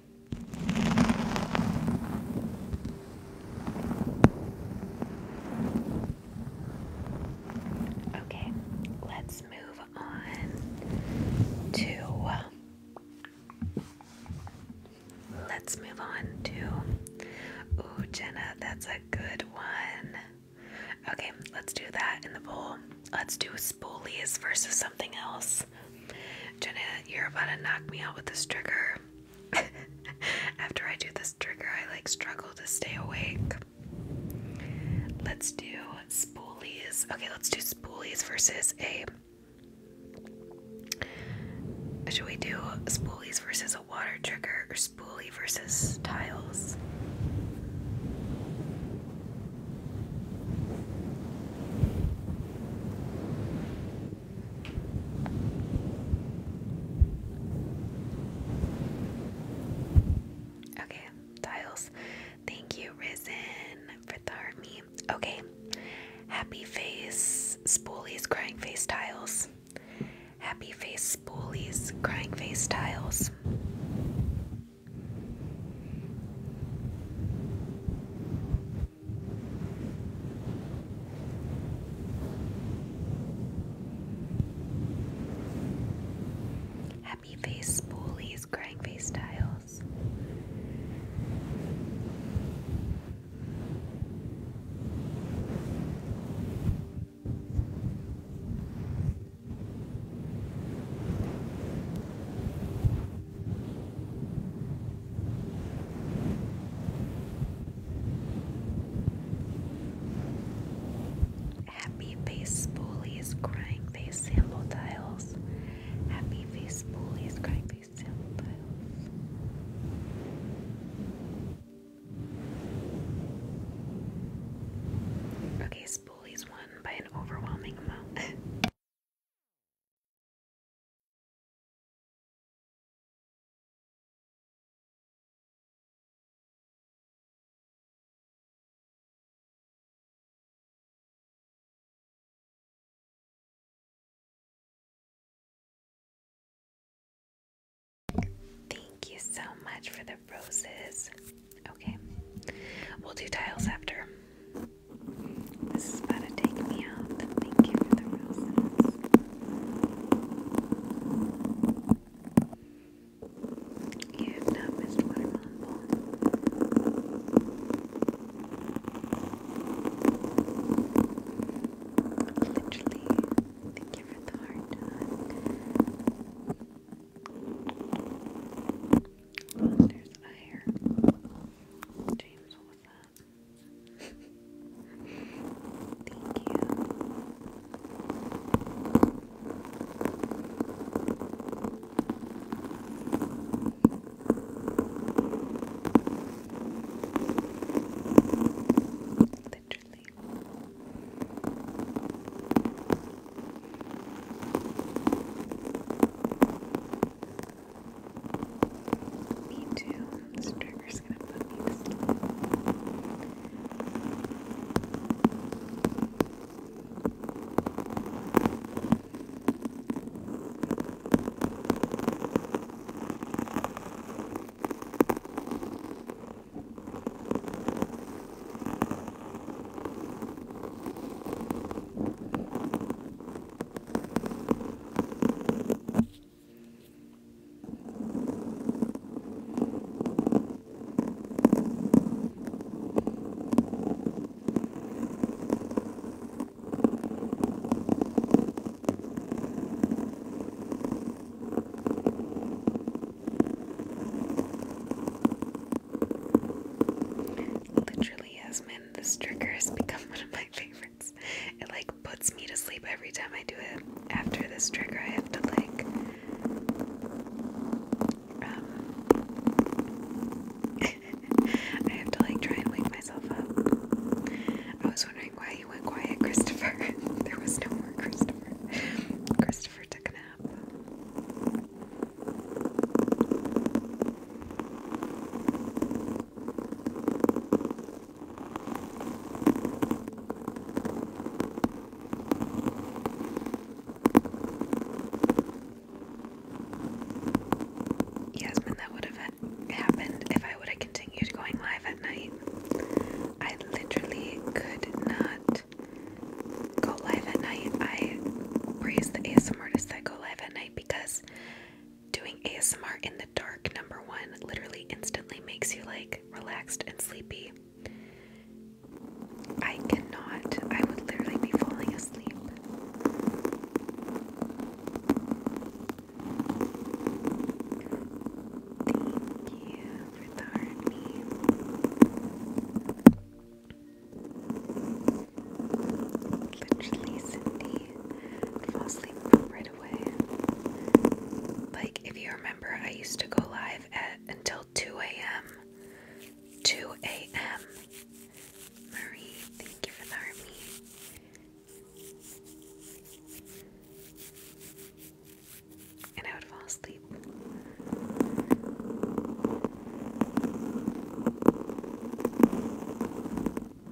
Okay, let's move on to. Uh, let's move on to. Ooh, Jenna, that's a good one. Okay, let's do that in the bowl. Let's do spoolies versus something else. Jenna, you're about to knock me out with this trigger. [LAUGHS] After I do this trigger, I like struggle to stay awake. Let's do spoolies. Okay, let's do spoolies versus a. Should we do spoolies versus a water trigger or spoolie versus tiles? Okay, tiles. Thank you, Risen, for the army. Okay, happy face, spoolies, crying face tiles. Happy face, spoolies, crying face tiles. Happy face spoolies, crying face tiles. Happy Face Spoolies Crying Face Sample Tiles. Happy Face Spoolies Crying Face Sample Tiles. Okay, Spoolies won by an overwhelming amount. [LAUGHS] Thank you so much for the roses. Okay, we'll do tiles after. This is about to take me out. Thank you for the roses. You have not missed Watermelon Bowl. Literally, thank you for the hard time. There's Ire. James, what was that? Thank you. Literally. Me too. This trigger's gonna put me to sleep. Good Literally, Yasmin, this trigger has become one of my favorites. It like puts me to sleep every time I do it. After this trigger, I have to like um, [LAUGHS] I have to like try and wake myself up. I was wondering why you went quiet, [LAUGHS] Christopher. there was no more Christopher. Christopher took a nap. Yasmin, that would have happened if I would have continued going live at night. I literally could not go live at night. I praise the ASMRtists that go live at night because Doing ASMR in the dark, number one, literally instantly makes you like relaxed and sleepy. I cannot, I would literally be falling asleep. Thank you for the heartbeat. Literally, Cindy, fall asleep from red like, if you remember, I used to go live at until 2 a.m. 2 a.m. Marie, thank you for the army. And I would fall asleep. I'm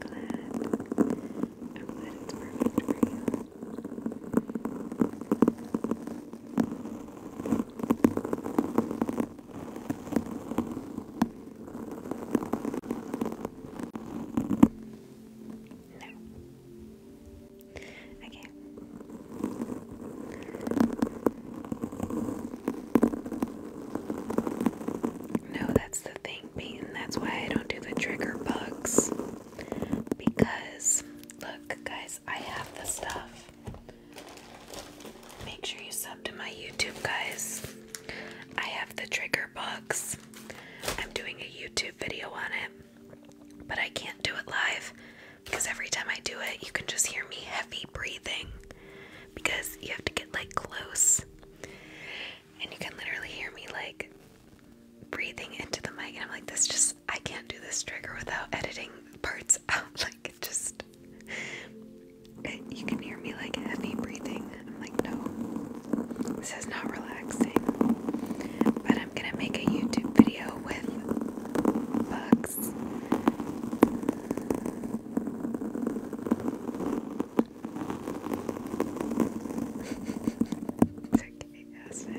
glad. I'm glad it's perfect for you. Thank no. Okay. No, that's the thing, Peyton. That's why I don't do the trigger bugs. Because, look, guys, I have the stuff. Make sure you sub to my YouTube, guys. I have the trigger books. I'm doing a YouTube video on it, but I can't do it live because every time I do it, you can just hear me heavy breathing because you have to get like close. And you can literally hear me like breathing into the mic, and I'm like, this just, I can't do this trigger without editing parts [LAUGHS] out. Like, it just, you can hear me like heavy breathing. I'm like, no, this is not relaxing. But I'm gonna make a YouTube video with bugs.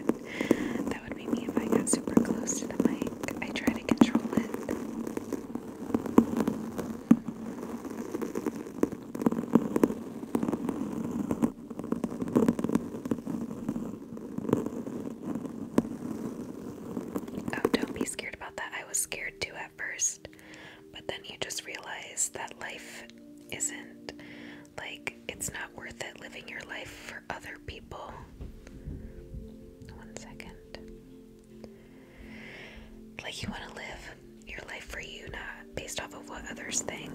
[LAUGHS] That would be me if I got super close to the mic. I try to control it. Oh, don't be scared about that. I was scared too at first, but then you just realize that life isn't like it's not worth it living your life for other people. One second. Like, you want to live your life for you, not based off of what others think.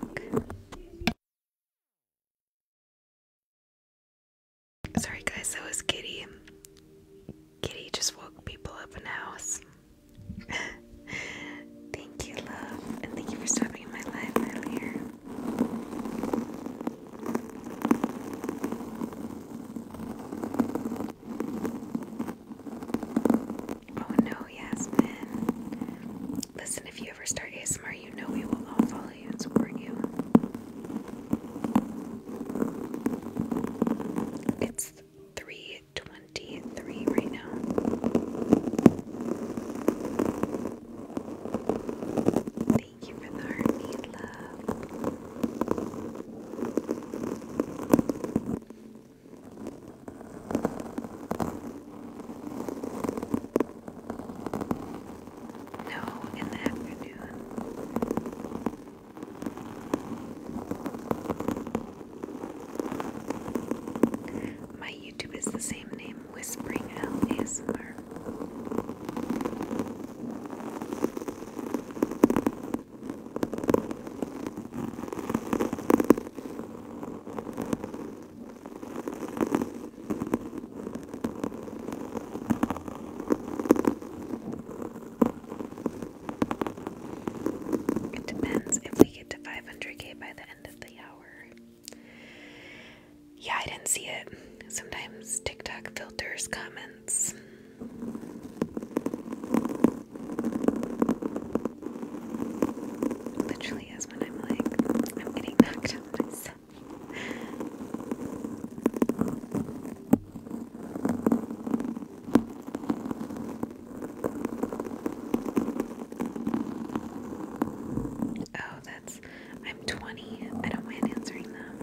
Sorry, guys, that was Kitty. Kitty just woke people up in the house. [LAUGHS] thank you, love, and thank you for stopping in my life earlier. Oh no, Yasmin. Listen, if you ever start ASMR, you know we will all follow you and support you. It's 323 right now. Thank you for the army love. No, in the afternoon. My YouTube is the same name, Whispering L it depends if we get to 500k by the end of the hour. Yeah, I didn't see it. Sometimes TikTok filters comments. Literally is when I'm like, I'm getting knocked out Oh, that's. I'm 20. I don't mind answering them.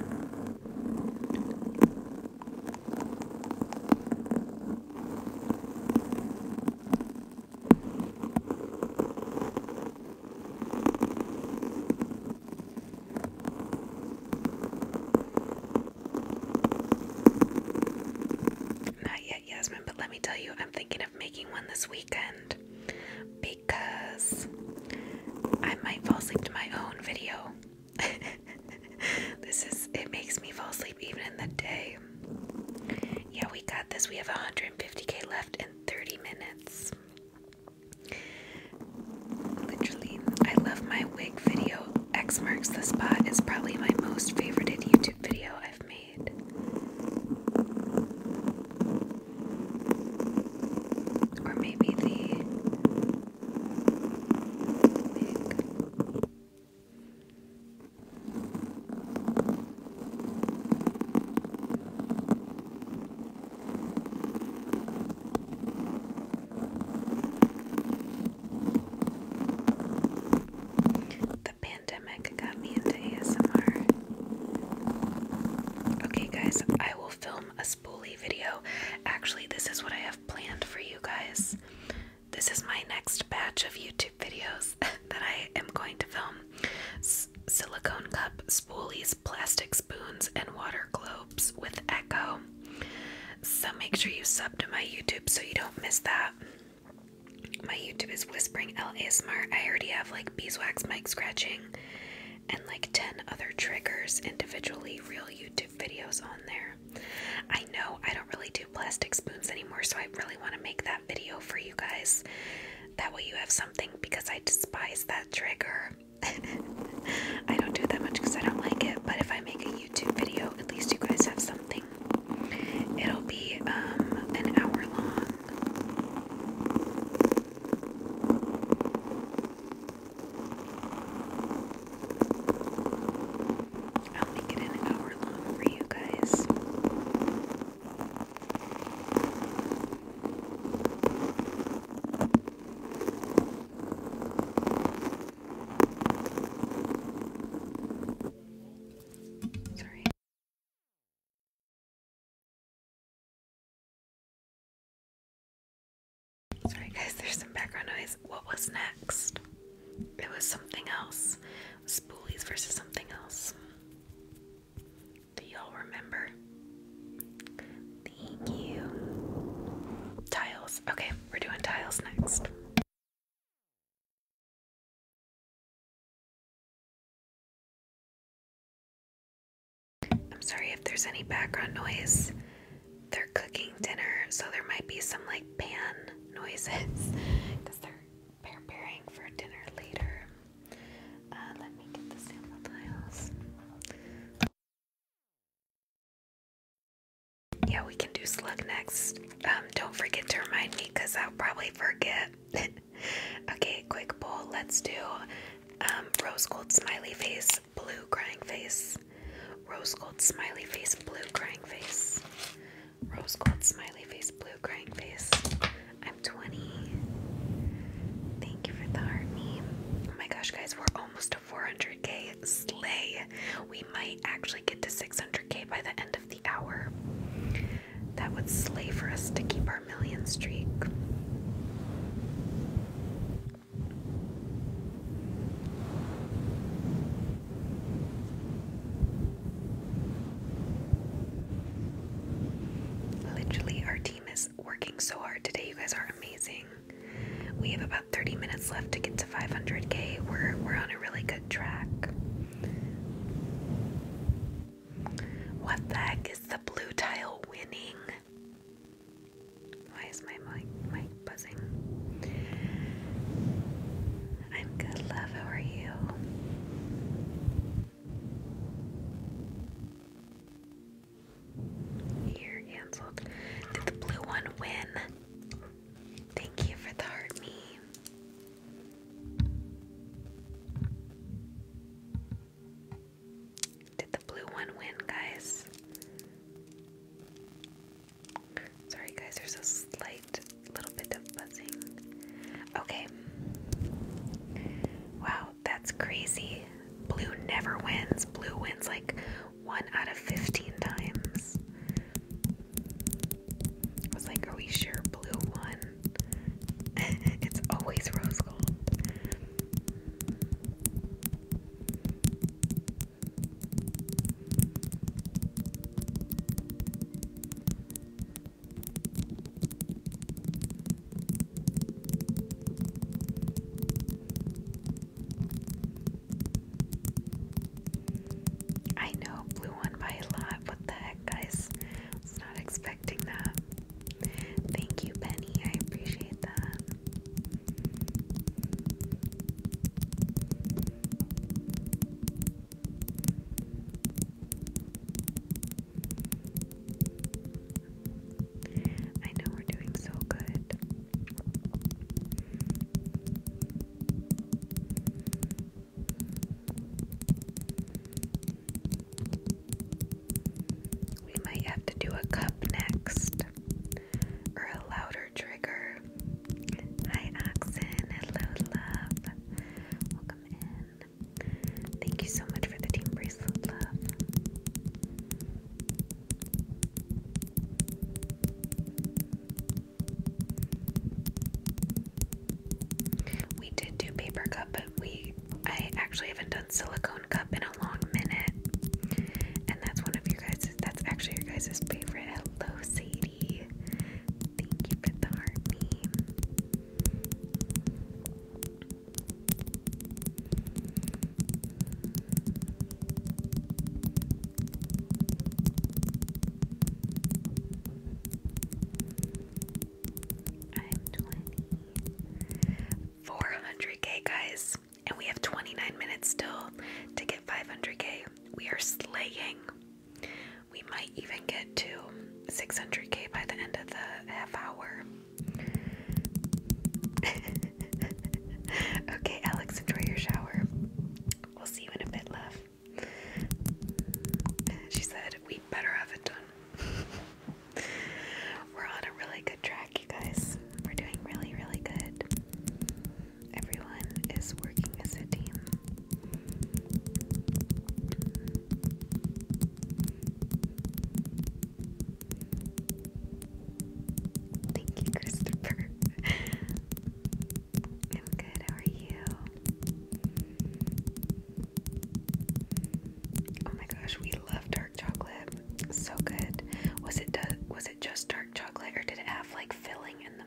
Not yet, Yasmin, but let me tell you, I'm thinking of making one this weekend because I might fall asleep to my own video. [LAUGHS] this is, it makes me fall asleep even in the day. Yeah, we got this. We have 150k left in 30 minutes. Literally, I love my wig video. X marks the spot is probably my most favorited YouTube video I've made. Or maybe the wig. The pandemic got me into ASMR. Okay, guys, I will film a spoolie video. Actually, this is what I have planned for you guys. This is my next batch of YouTube videos [LAUGHS] that I am going to film silicone cup, spoolies, plastic spoons, and water globes with Echo. So make sure you sub to my YouTube so you don't miss that. My YouTube is Whispering La Smart. I already have like beeswax mic scratching and like 10 other triggers individually, real YouTube videos on there. I know I don't really do plastic spoons anymore, so I really want to make that video for you guys. That way you have something because I despise that trigger. [LAUGHS] I don't do that much because I don't like it, but if I make a YouTube video, at least you guys have something. It'll be um, an hour long. I'll make it an hour long for you guys. Sorry. Sorry guys, there's some background noise. What was next? It was something else. Spoolies versus something else. Do y'all remember? Thank you. Tiles. Okay, we're doing tiles next. I'm sorry if there's any background noise. They're cooking dinner, so there might be some like pan noises preparing for dinner later. Uh, let me get the sample tiles. Yeah, we can do slug next. Um, don't forget to remind me because I'll probably forget. [LAUGHS] okay, quick poll. Let's do um, rose gold smiley face, blue crying face. Rose gold smiley face, blue crying face. Rose gold smiley face, blue crying face. I'm 20. Thank you for the heart meme. Oh my gosh, guys, we're almost to 400k. Slay. We might actually get to 600k by the end of the hour. That would slay for us to keep our million streak. Literally, our team is working so hard today. You guys are amazing. We have about 30 minutes left to get to 500k. We're we're on a really good track. What the heck is the blue tile winning? Why is my mic mic buzzing? I'm good, love. How are you? Here, canceled. Did the blue one win? Thank you for the heart me. Did the blue one win, guys? Sorry, guys, there's a slight little bit of buzzing. Okay. Wow, that's crazy. Blue never wins. Blue wins like 1 out of 15 times. I was like, are we sure blue won? [LAUGHS] it's always rose gold. I know, blew one by a lot. What the heck, guys? I was not expecting that. Thank you, Penny. I appreciate that. I know we're doing so good. We might have to do a cup next or a louder trigger. Hi, Oxen. Hello, love. Welcome in. Thank you so much for the team bracelet, love. We did do paper cup, but we I actually haven't done silicone cup in a long minute. And that's one of your guys' that's actually your guys' favorite. Hello Sadie. Thank you for the heart meme. I'm 20. k guys, and we have 29 minutes still to get 500k. We are slaying. We might even get to 600k by the end of the half hour. [LAUGHS] okay, Alex, enjoy your shower. We'll see you in a bit, love. She said, We better have it done. [LAUGHS] We're on a really good track, you guys. We're doing really, really good. Everyone is working as a team. Thank you, Christopher. [LAUGHS] I'm good, how are you? Oh my gosh, we love dark chocolate. So good. Was it was it just dark chocolate or did it have like filling in the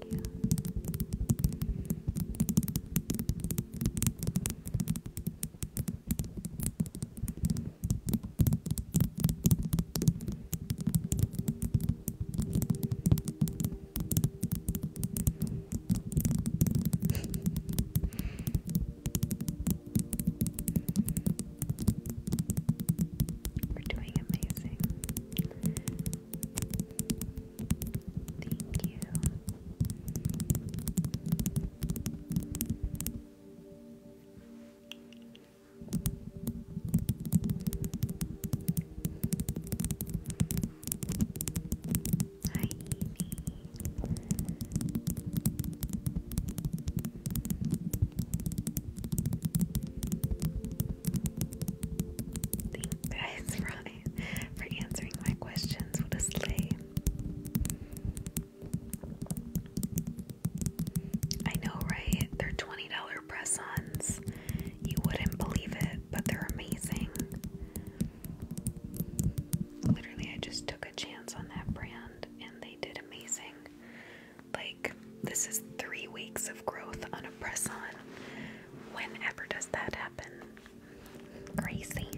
Thank you. We're doing amazing. Thank you. Hi, Thank you guys, Ronnie, [LAUGHS] for answering my questions. What a I know, right? They're $20 press ons. You wouldn't believe it, but they're amazing. Literally, I just took a chance on that brand and they did amazing. Like, this is three weeks of growth on a press on. Whenever does that happen? Crazy.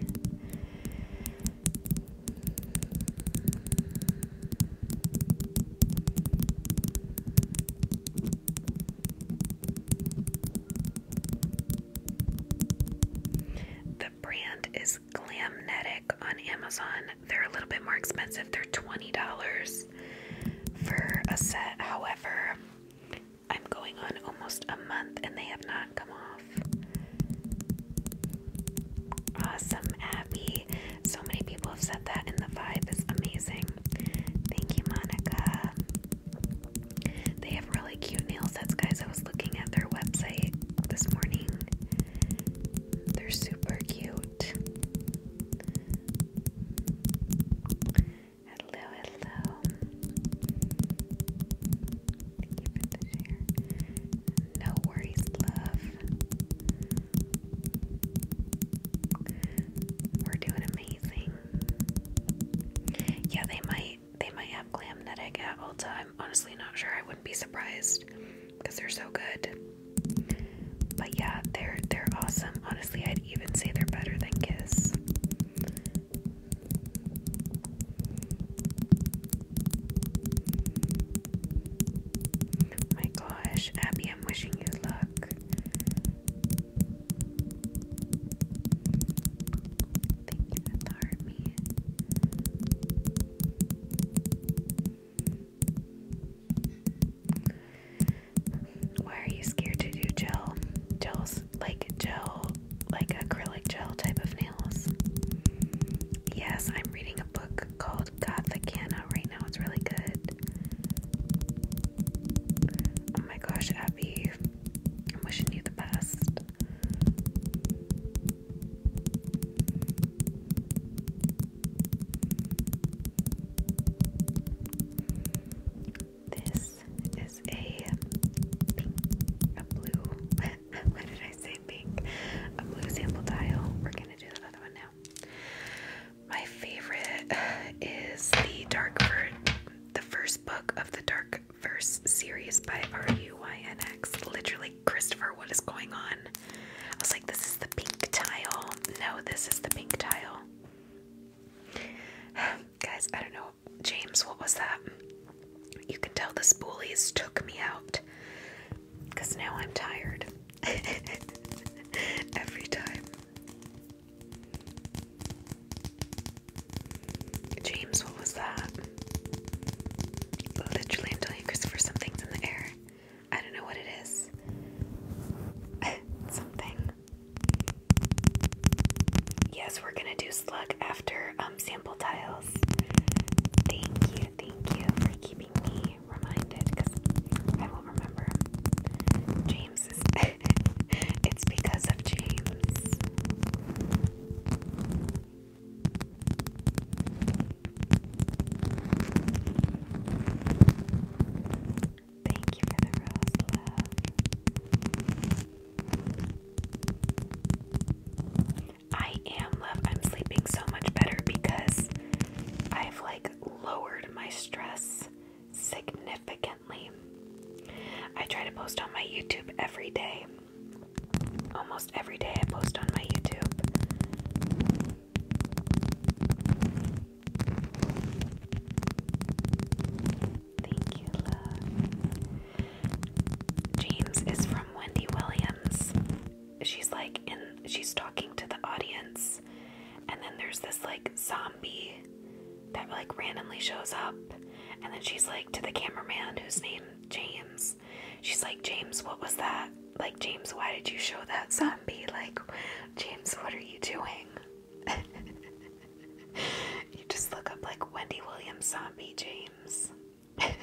The brand is Glamnetic on Amazon. They're a little bit more expensive. They're $20 for a set. However, I'm going on almost a month and they have not come off. Awesome, Abby. So many people have said that, and the vibe is amazing. Thank you, Monica. They have really cute nail sets, guys. I was looking at their website this morning, they're super cute. Hello, hello. No worries, love. We're doing amazing. Yeah, they might they might have Glamnetic at Ulta. I'm honestly not sure. I wouldn't be surprised because they're so good. But yeah, they're they're awesome. Honestly, I even say they're better than Kiss. My gosh, Abby, I'm wishing you luck. Thank you army. Why are you scared to do gel? Gel's like gel, like acrylic gel type of nails. Yes, I'm reading a book called Gothicana right now. It's really good. Oh my gosh, Abby. I'm wishing you the best. This is a a blue, [LAUGHS] why did I say pink? A blue sample dial. We're gonna do the other one now. My favorite is the Dark the first book of the Dark Verse series by RUYNX. Literally, Christopher, what is going on? I was like, this is the pink tile. No, this is the pink tile. Guys, I don't know. James, what was that? You can tell the spoolies took me out. Because now I'm tired. [LAUGHS] Every time. James, what was that? Literally, I'm telling Christopher, something's in the air. I don't know what it is. [LAUGHS] Something. Yes, we're gonna do slug after um sample tiles. Thank you, thank you for keeping me reminded because I will remember. James is [LAUGHS] it's because of James. Thank you for the love. I am love. I'm sleeping so much better because I've like lowered my stress significantly. I try to post on my YouTube every day. Almost every day I post on my YouTube. Thank you, James is from Wendy Williams. She's like in she's talking to the audience and then there's this like zombie that like randomly shows up and then she's like to the cameraman whose name James. She's like, James, what was that? Like, James, why did you show that zombie? Like, James, what are you doing? you just look up like Wendy Williams zombie James. [LAUGHS]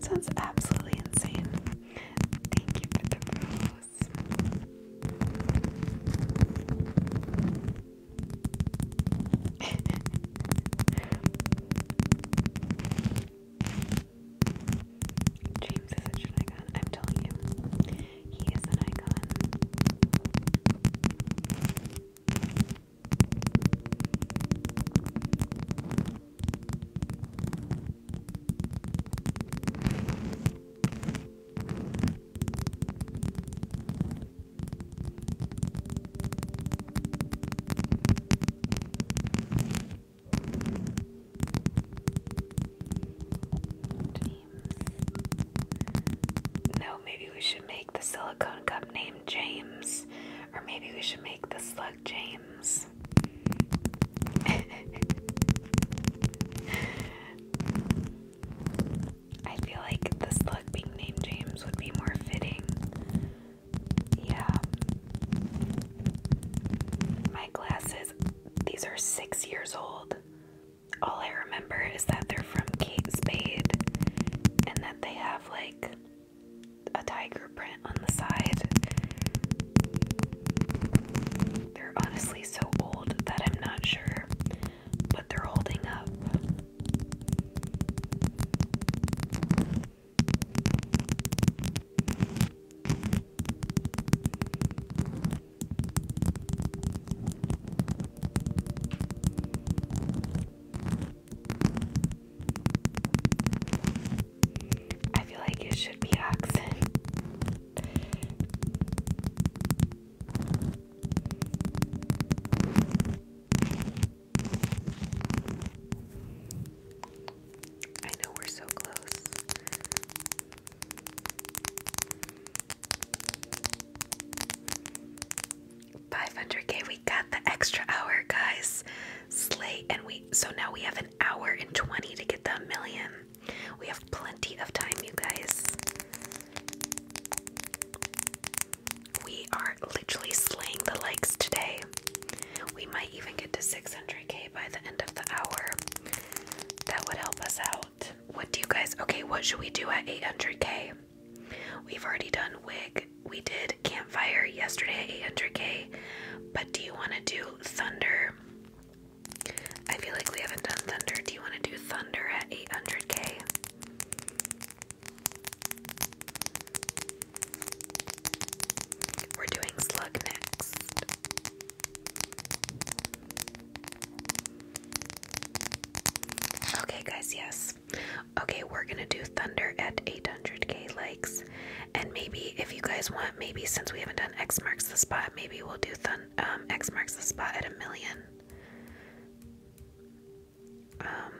Sounds absolutely insane. Thank you for the rose. [LAUGHS] James is a icon, I'm telling you. He is an icon. No, maybe we should make the silicone cup named James. Or maybe we should make the slug James. [LAUGHS] I feel like the slug being named James would be more fitting. Yeah. My glasses, these are six years old all I remember is that they're from Kate Spade and that they have like a tiger print on the side. They're honestly so old that I'm not sure, but they're holding up. I feel like it should be accent. I know we're so close. 500k, we got the extra hour, guys. Slay, and we so now we have an hour and 20 to get the million. We have plenty of time, you guys. We are literally slaying the likes today. We might even get to 600k by the end of the hour. That would help us out. What do you guys okay? What should we do at 800k? We've already done wig. We did campfire yesterday at 800k. But do you want to do thunder? I feel like we haven't done thunder. Do you want to do thunder at 800k? We're doing slug next. Okay, guys, yes. Okay, we're gonna do Thunder at 800k likes. And maybe if you guys want, maybe since we haven't done X marks the spot, maybe we'll do thun um, X marks the spot at a million. Um,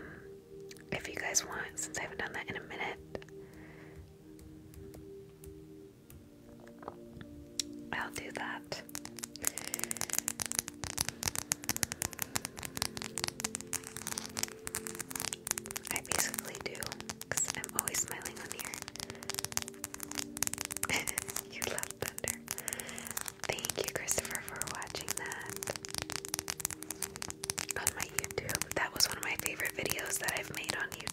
if you guys want, since I haven't done that in a minute. I'll do that. I basically do, because I'm always smiling on here. [LAUGHS] you love thunder. Thank you, Christopher, for watching that on my YouTube. That was one of my favorite videos that i made on YouTube.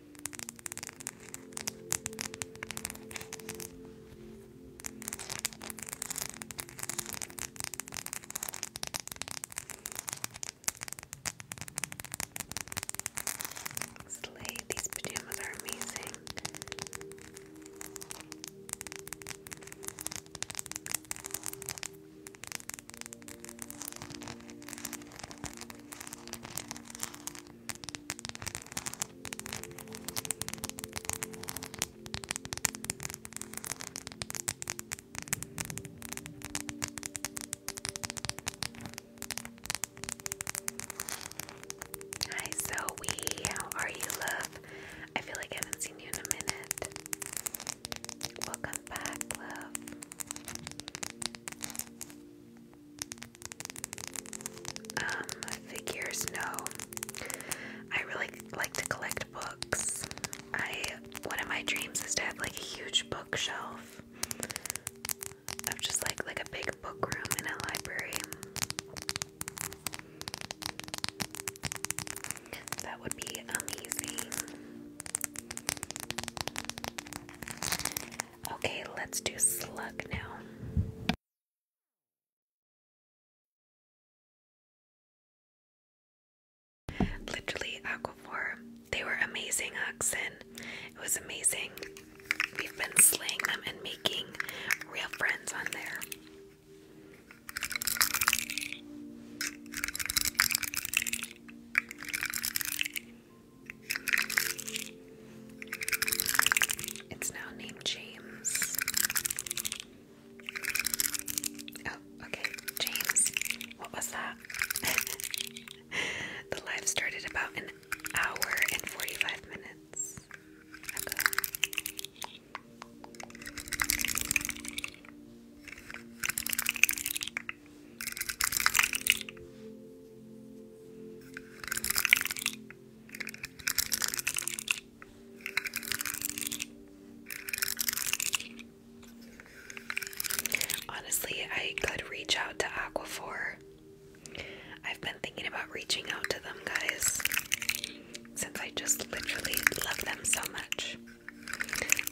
Slay, these pajamas are amazing. Hi Zoe, how are you, love? I feel like I haven't seen you in a minute. Welcome back, love. Um, figures, no. I really like to collect books. I one of my dreams is to have like a huge bookshelf of just like like a big book room in a library. That would be amazing. Okay, let's do slug now. Literally, Aquaphor, they were amazing oxen. It was amazing. We've been slaying them and making real friends on there. It's now named James. Oh, okay, James. What was that? [LAUGHS] the live started about an hour and 45 minutes ago. Honestly, I could reach out to Aquaphor. I've been thinking about reaching out to them guys since I just literally love them so much.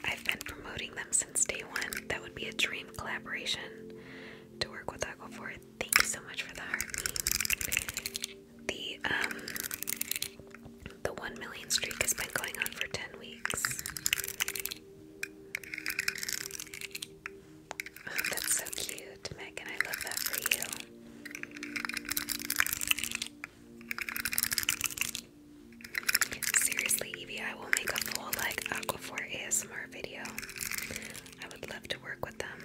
I've been promoting them since day one. That would be a dream collaboration to work with Aqua Thank you so much for the heart. The um the one million streak has been going on for ten weeks. Oh, that's so cute, Megan. I love that for you. Seriously, Evie, I will make a full like Aquaphor ASMR video. I would love to work with them.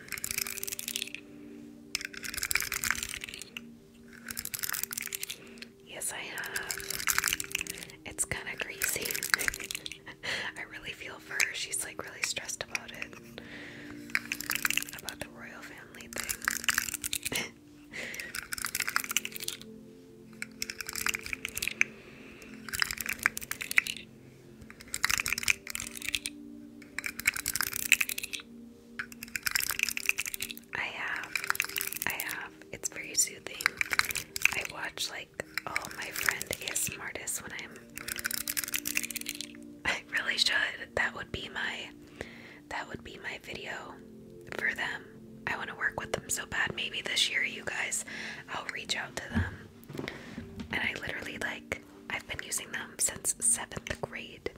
Yes, I have. It's kind of greasy. [LAUGHS] I really feel for her. She's like really stressed about it. About the royal family thing. [LAUGHS] I have, I have. It's very soothing. I watch like all my friend ASMR artists when I'm. I really should. That would be my, that would be my video for them. I want to work with them so bad. Maybe this year, you guys, I'll reach out to them. And I literally like I've been using them since seventh grade.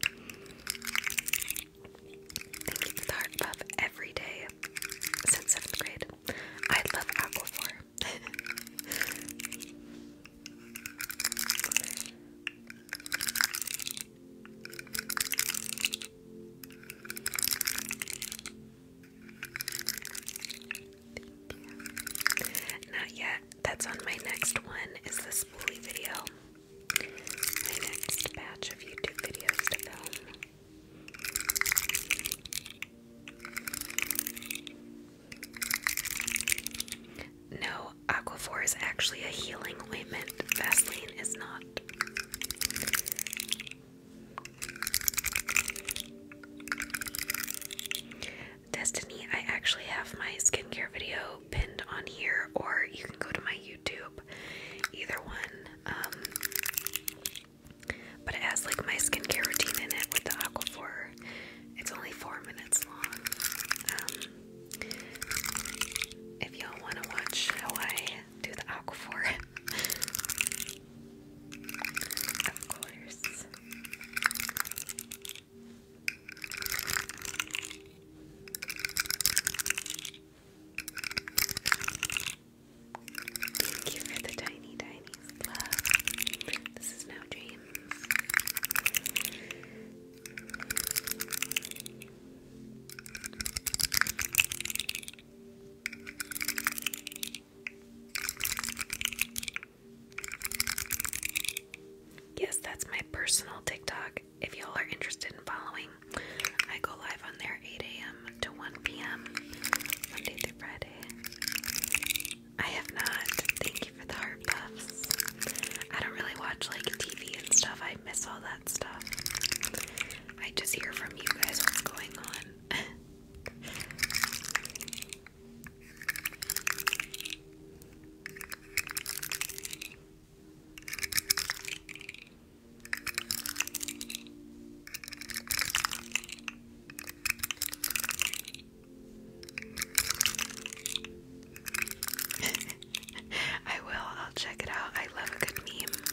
Thank you for the heart puff every day since seventh grade. I love Aquaphor. [LAUGHS] you. Not yet. That's on my next one. Is the spoolie video? My next batch of YouTube videos to film. No, Aquaphor is actually a healing ointment. Vaseline is not. Destiny, I actually have my skincare video pinned on here, or you can go to my YouTube, either one. Um, but it has like my skincare routine in it with the for. It's only four minutes long. Um, if y'all want to watch how I do the Aquaphor, [LAUGHS] of course. Thank you for the tiny, tiny love. This is now James. Yes, that's my personal TikTok. If y'all are interested in following, I go live on there 8 a.m. to 1 p.m. Monday through Friday. I have not. Thank you for the heart puffs. I don't really watch like TV and stuff. I miss all that stuff. I just hear from you guys what's going on. [LAUGHS] I will, I'll check it out. I love a good meme.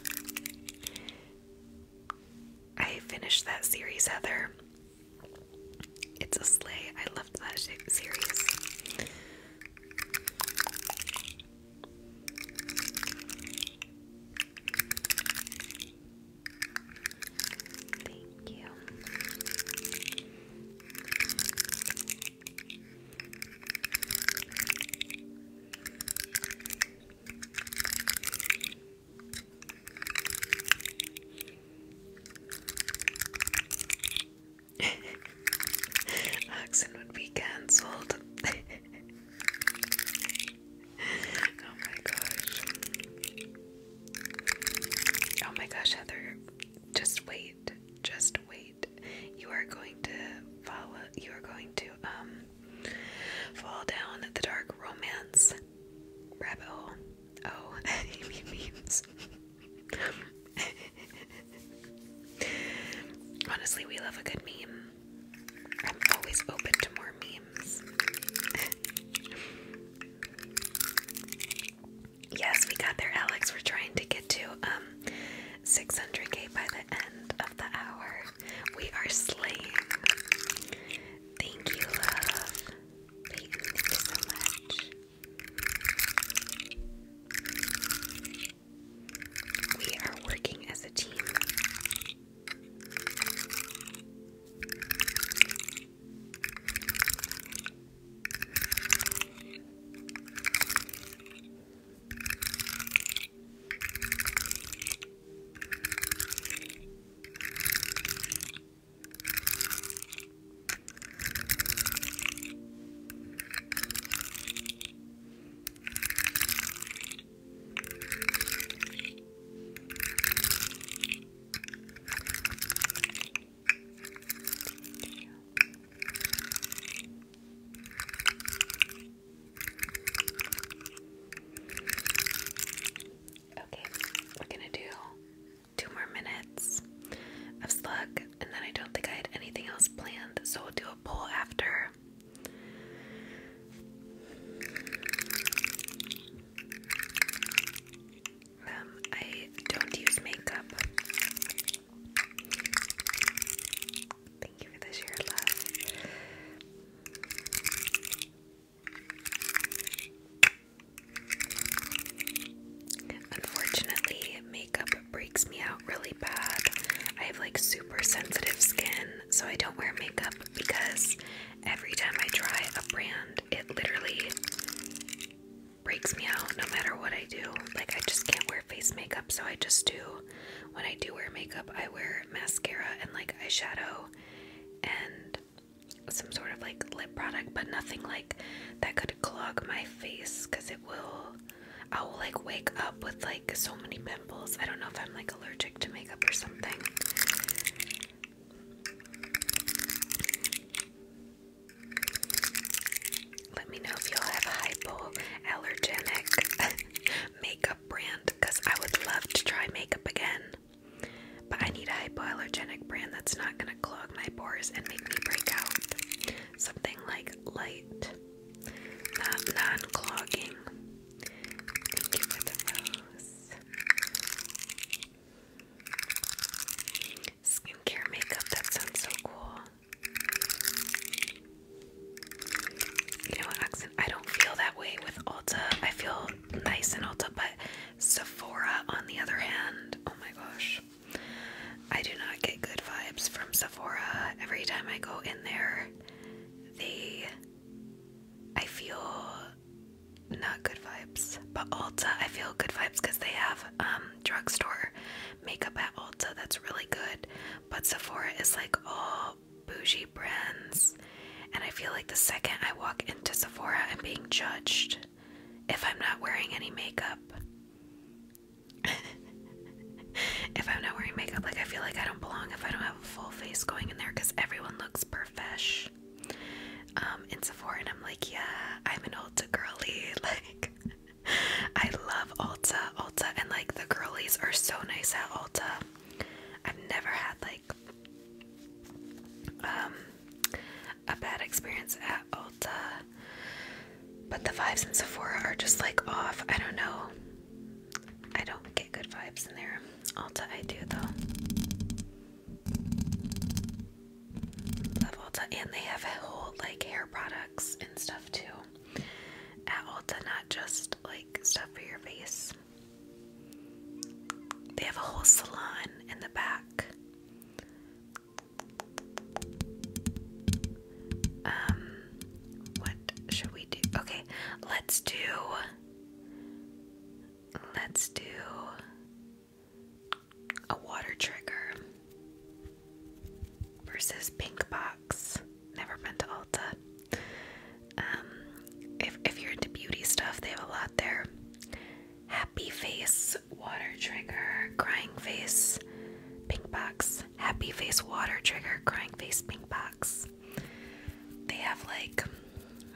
I finished that series, Heather. It's a sleigh. I loved that series. Thank you. Accent would be cancelled. [LAUGHS] oh my gosh. Oh my gosh, Heather. Just wait. Just wait. You are going to follow you are going to um fall down the dark romance rabbit hole. Oh, [LAUGHS] he memes. Honestly, we love a good meme. I'm always open to more memes. yes, we got there, Alex. We're trying to get to um 600k by the end of the hour. We are slaying. Thank you, love thank you so much. We are working as a team. Okay, we're gonna do two more minutes of slug, and then I don't think I had anything else planned, so we'll do a poll after. Um, I don't use makeup. Thank you for the share love. Unfortunately, makeup breaks me out really bad. I have like super sensitive skin, so I don't wear makeup because every time I try a brand, it literally breaks me out no matter what I do. Like, I just can't wear face makeup, so I just do. When I do wear makeup, I wear mascara and like eyeshadow and some sort of like lip product, but nothing like that could clog my face because it will. I will like wake up with like so many pimples. I don't know if I'm like allergic to makeup or something. Let me know if y'all have a hypoallergenic [LAUGHS] makeup brand because I would love to try makeup again. But I need a hypoallergenic brand that's not going to clog my pores and make me break out. Something like light, not non clogging. Thank you for the rose. Skincare makeup, that sounds so cool. You know what, Oxen? I don't feel that way with Ulta. I feel nice in Ulta, but Sephora, on the other hand, oh my gosh, I do not get good vibes from Sephora. Every time I go in there, they, I feel not good vibes. But Ulta, I feel good vibes because they have um, drugstore makeup at Ulta that's really good. But Sephora is like all bougie brands. And I feel like the second I walk into Sephora, I'm being judged if I'm not wearing any makeup. [LAUGHS] if I'm not wearing makeup, like I feel like I don't belong if I don't have a full face going in there because everyone looks perfesh um, in Sephora, and I'm like, yeah, I'm an Ulta girly. [LAUGHS] Like, I love Ulta, Ulta, and like the girlies are so nice at Ulta. I've never had like um, a bad experience at Ulta, but the vibes in Sephora are just like off. I don't know. I don't get good vibes in there. Ulta, I do though. Love Ulta, and they have a whole like hair products and stuff too at Ulta, not just like stuff for your face. They have a whole salon in the back. Um, what should we do? Okay, let's do. Let's do a water trigger versus pink box. Never been to Ulta. Um, if if you're into beauty stuff, they have a lot there happy face water trigger, crying face, pink box, happy face water trigger, crying face, pink box. They have like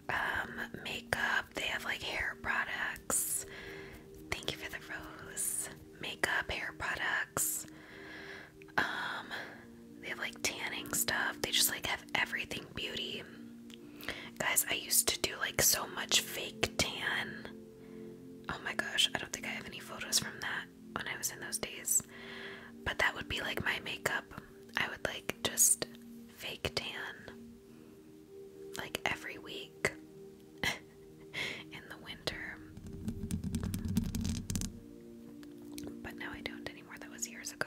um, makeup, they have like hair products. Thank you for the rose. Makeup, hair products. Um, they have like tanning stuff. They just like have everything Beauty. Guys, I used to do like so much fake tan. Oh my gosh, I don't think I have any photos from that when I was in those days. But that would be like my makeup. I would like just fake tan like every week [LAUGHS] in the winter. But now I don't anymore. That was years ago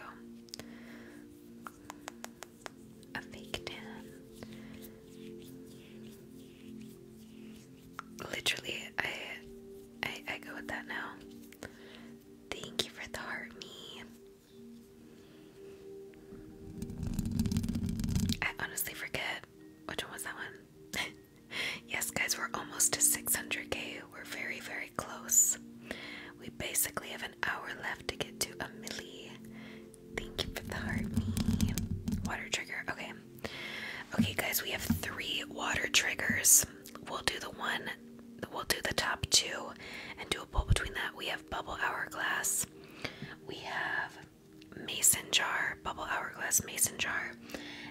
a fake tan. Literally, I, I I go with that now. Thank you for the heart, me. I honestly forget which one was that one. [LAUGHS] yes, guys, we're almost to 600k. We're very, very close. We basically have an hour left to get to a milli. Thank you for the heart me. Water trigger. Okay. Okay, guys, we have three water triggers. We'll do the one, we'll do the top two and do a pull between that. We have bubble hourglass. We have mason jar, bubble hourglass mason jar.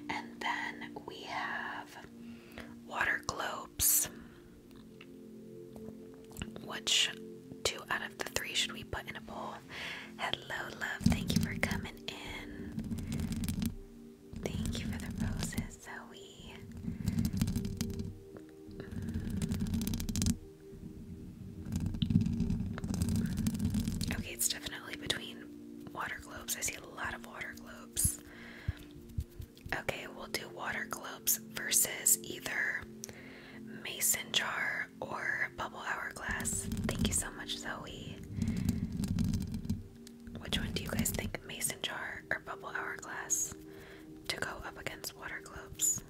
And then we have water globes. Which two out of the three should we put in a bowl? Hello, love. Thank you for coming in. Thank you for the roses, Zoe. Okay, it's definitely between water globes. I see a lot of water globes. Okay, we'll do water globes versus either mason jar or bubble hourglass. Thank you so much, Zoe. Which one do you guys think, mason jar or bubble hourglass, to go up against water globes?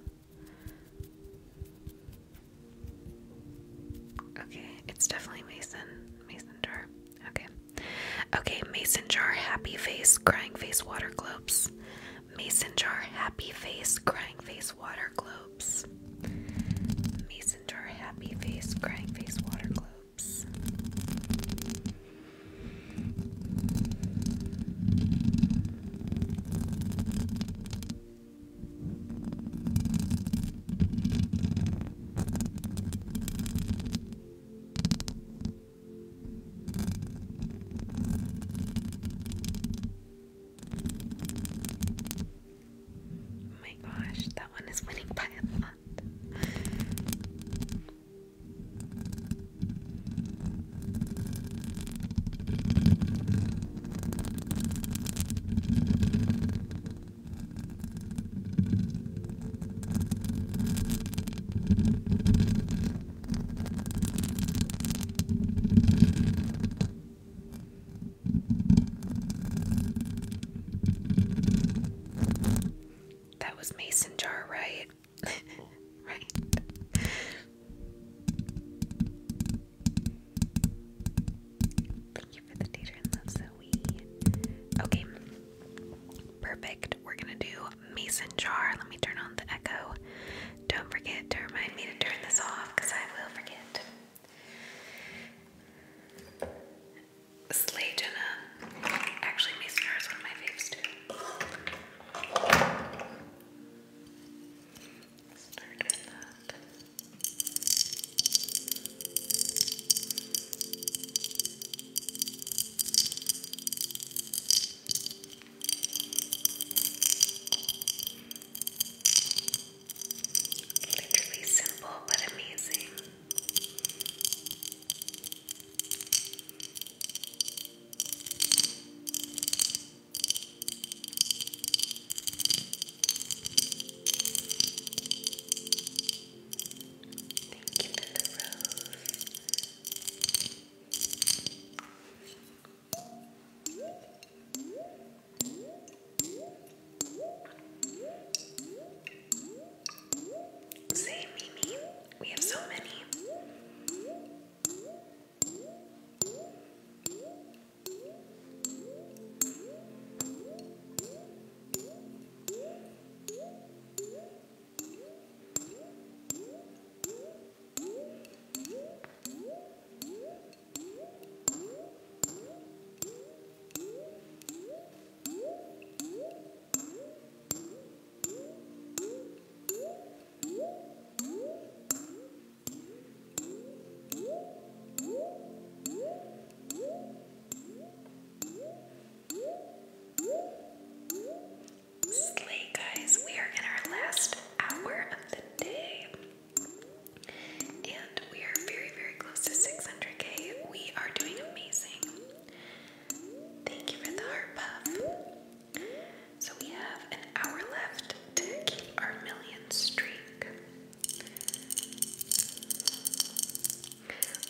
Okay, it's definitely mason. Mason jar. Okay. Okay, mason jar, happy face, crying face, water globes. Mason jar happy face crying face water globes. Mason jar happy face crying face water globes. Oh my gosh, that one is winning by a lot. That was Mason jar, right? [LAUGHS] right. Thank you for the data love, Zoe. Okay, perfect. We're gonna do Mason jar. Let me turn on the echo. Don't forget to remind me to turn this off because I will forget. Slay Jenna. Actually, Mason is one of my faves too. Literally simple but amazing. Thank you, Little Rose. Say, Mimi, we have so many. Slay, guys, we are in our last hour of the day. And we are very, very close to 600k. We are doing amazing. Thank you for the heart puff. So we have an hour left to keep our million streak.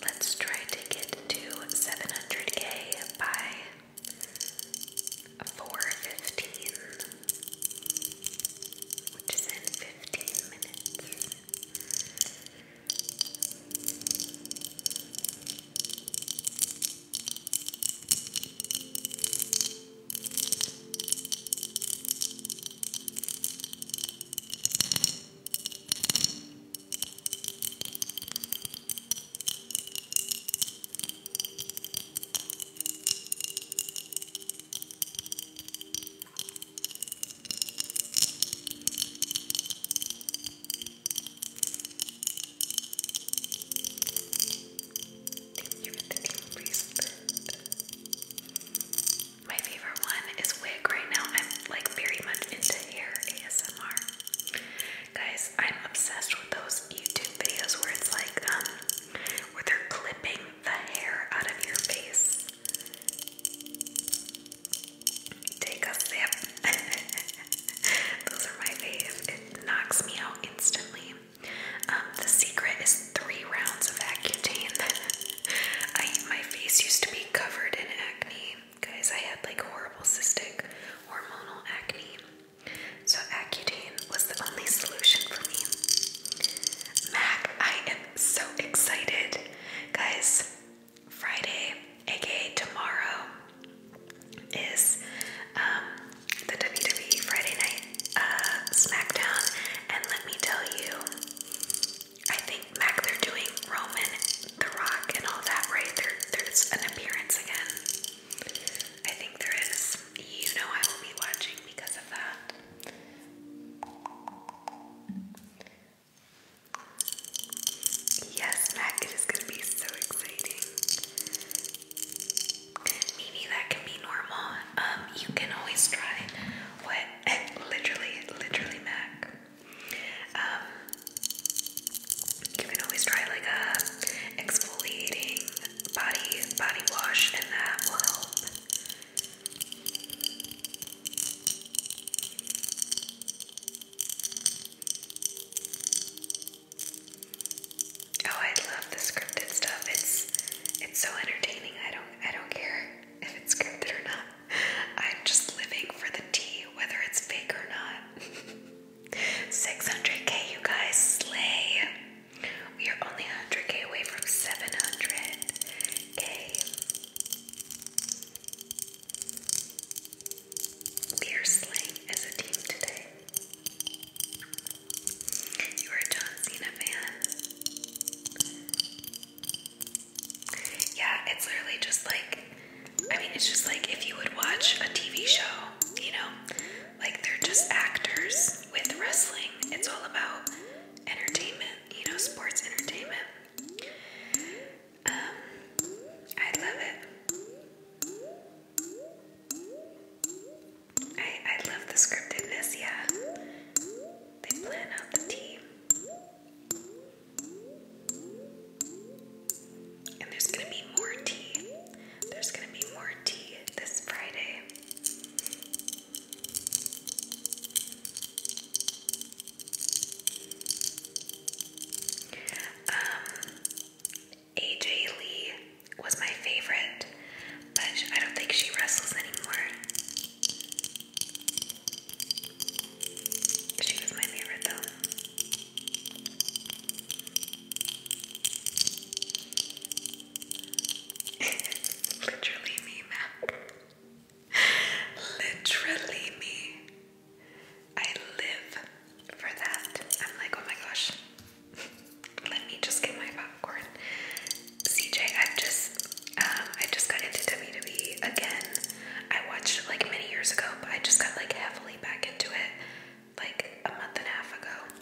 Let's try to get to 700k by 4.15, which is in 15 minutes. My favorite one is wig right now. I'm like very much into hair ASMR. Guys, I'm obsessed with those YouTube videos where it's like, um, where they're clipping the hair out of your face. Take a sip. [LAUGHS] Those are my fave. It knocks me out instantly. Um, the secret is three rounds of Accutane. [LAUGHS] I, my face used to be covered in acne. Guys, I had like horrible cystic hormonal acne. So Accutane was the only solution for me. Mac, I am so excited. Guys, Friday, aka tomorrow, is um, the WWE Friday Night uh, SmackDown. And let me tell you, I think Mac, they're doing Roman, The Rock, and all that, right? there's an appearance again. I think there is you know I will be watching because of that. Yes, Mac, it is going to be so exciting. Maybe that can be normal. Um, you can always try what [LAUGHS] literally, literally Mac. Um, you can always try like a exfoliating body body wash, and that will help. Oh, I love the scripted stuff. It's it's so entertaining. I don't I don't care if it's scripted or not. I'm just living for the tea, whether it's fake or not. 600k, [LAUGHS] you guys slay. We are only 100k away from 700k. We are slaying as a team today. You are a John Cena fan. Yeah, it's literally just like, I mean, it's just like if you would watch a TV show, you know, like they're just actors with wrestling. It's all about entertainment, you know, sports entertainment. Um, I love it. I I love the scriptedness, yeah. They plan out the team. And there's gonna be more tea. There's gonna be more tea this Friday. Um, AJ Lee was my favorite, but I don't think she wrestles anymore. She was my favorite though. Literally me, Mac. Literally me. I live for that. I'm like, oh my gosh. Let me just get my popcorn. CJ, i just um I just got into WWE again. I watched like many years ago, but I just got like heavily back into it like a month and a half ago.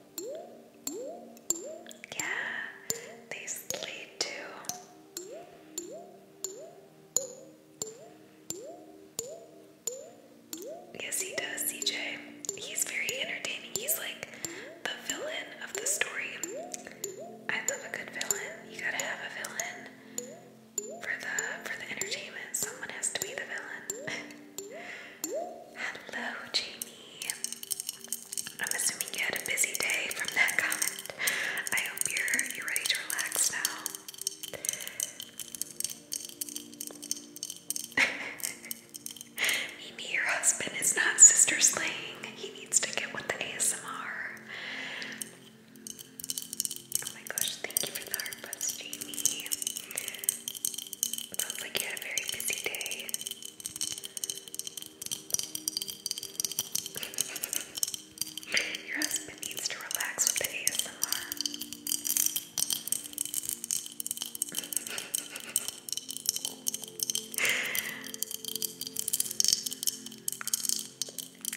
Yeah, they sleep too. Yes, he does, CJ. He's very entertaining. He's like the villain of the story. I love a good villain. You gotta have a villain for the for the entertainment. Someone has to be the villain. [LAUGHS] Hello, Jamie. I'm assuming you had a busy day from that comment. I hope you're you ready to relax now. [LAUGHS] Mimi, your husband is not sister slaying. He needs to get with the ASMR. Oh my gosh, thank you for the heart Jamie. Sounds like you had a very busy day. [LAUGHS] Your husband needs to relax with the ASMR.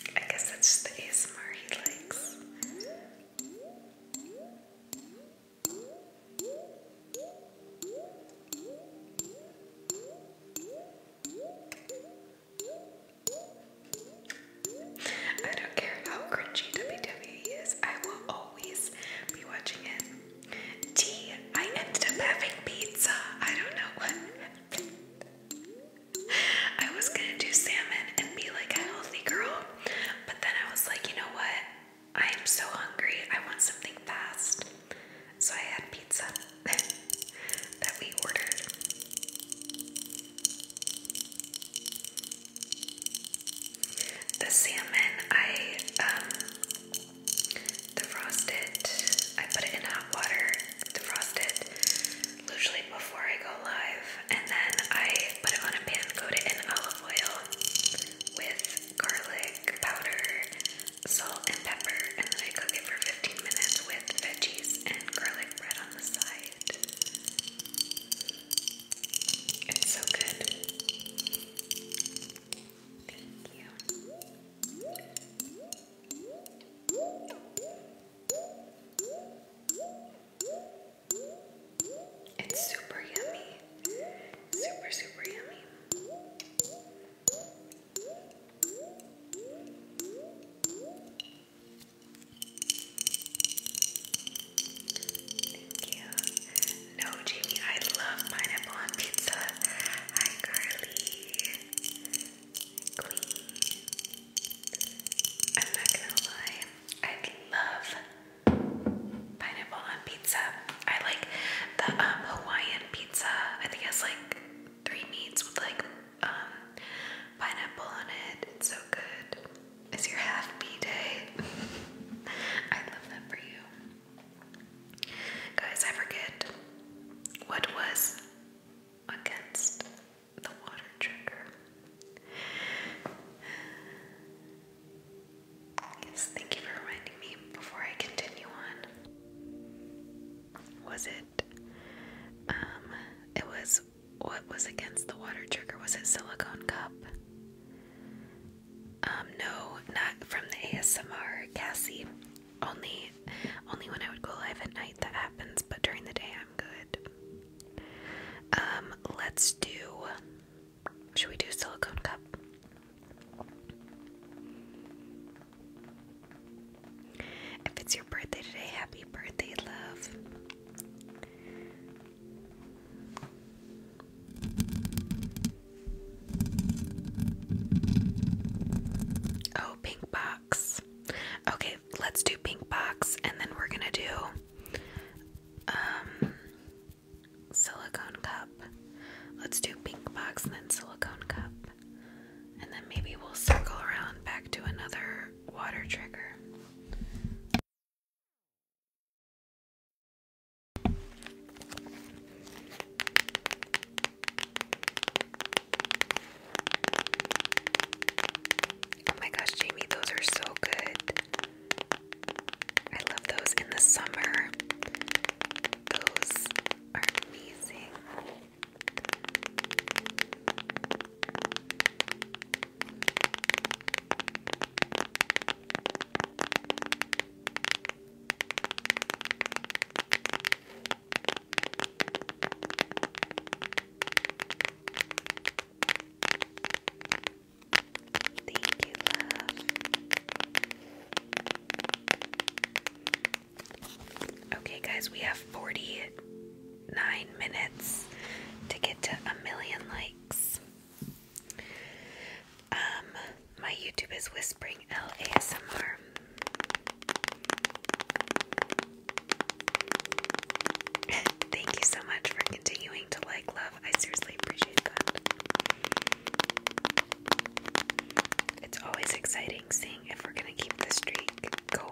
[LAUGHS] I guess that's just the ASMR he likes. I don't care how cringy WWE is, I will always be watching it. Tea, ended up having pizza. I don't know what I was gonna do salmon and be like a healthy girl, but then I was like, you know what? I am so hungry. I want something fast. So I had pizza [LAUGHS] that we ordered. The salmon, I, defrosted, um, I put it in hot water, defrost usually before I go live, and then I put it on a pan, coat it in olive oil with garlic powder, salt, and pepper, and then I cook it for 15 minutes with veggies and garlic bread on the side. It's so good. Thank you. It's super yummy. Super, super yummy. Thank you. No, Jamie, I love pineapple pizza. Hi, Carly. Queen. I'm not gonna lie, I love pineapple on pizza. I like the um, Hawaiian pizza. I think it has like three meats with like um, pineapple on it. It's so good. It's your half B day. [LAUGHS] I love that for you. Guys, I forget what was against the water trigger. Yes, thank you for reminding me before I continue on. Was it um it was what was against the water trigger? Was it silicone cup? Um no, not from the ASMR, Cassie. Only only when I would go live at night that happens, but during the day I'm good. Um, let's do should we do silicone cup? If it's your birthday today, happy birthday, love. Oh, pink box. Okay, let's do pink box and then we're gonna do um, silicone cup. Let's do pink box and then silicone cup. And then maybe we'll circle around back to another water trigger. Oh my gosh, Jamie, those are so good. I love those in the summer. Those are amazing. Thank you, love. Okay, guys, we have 49 minutes to get to a million likes. Um, my YouTube is Whispering LASMR. [LAUGHS] Thank you so much for continuing to like, love. I seriously appreciate that. It's always exciting seeing if we're going to keep the streak going.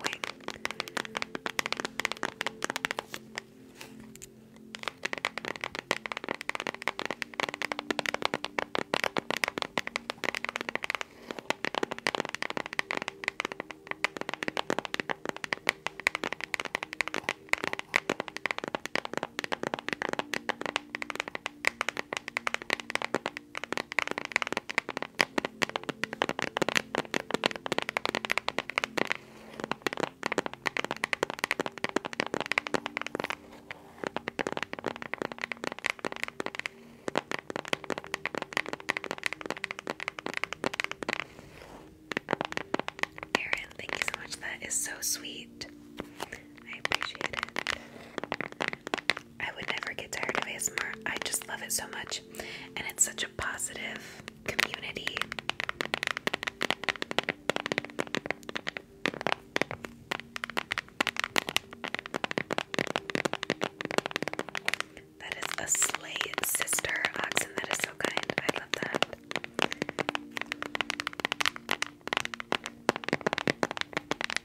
Erin, thank you so much. That is so sweet. I appreciate it. I would never get tired of ASMR. I just love it so much. And it's such a positive community. That is a sleigh sister oxen. That is so kind. I love that.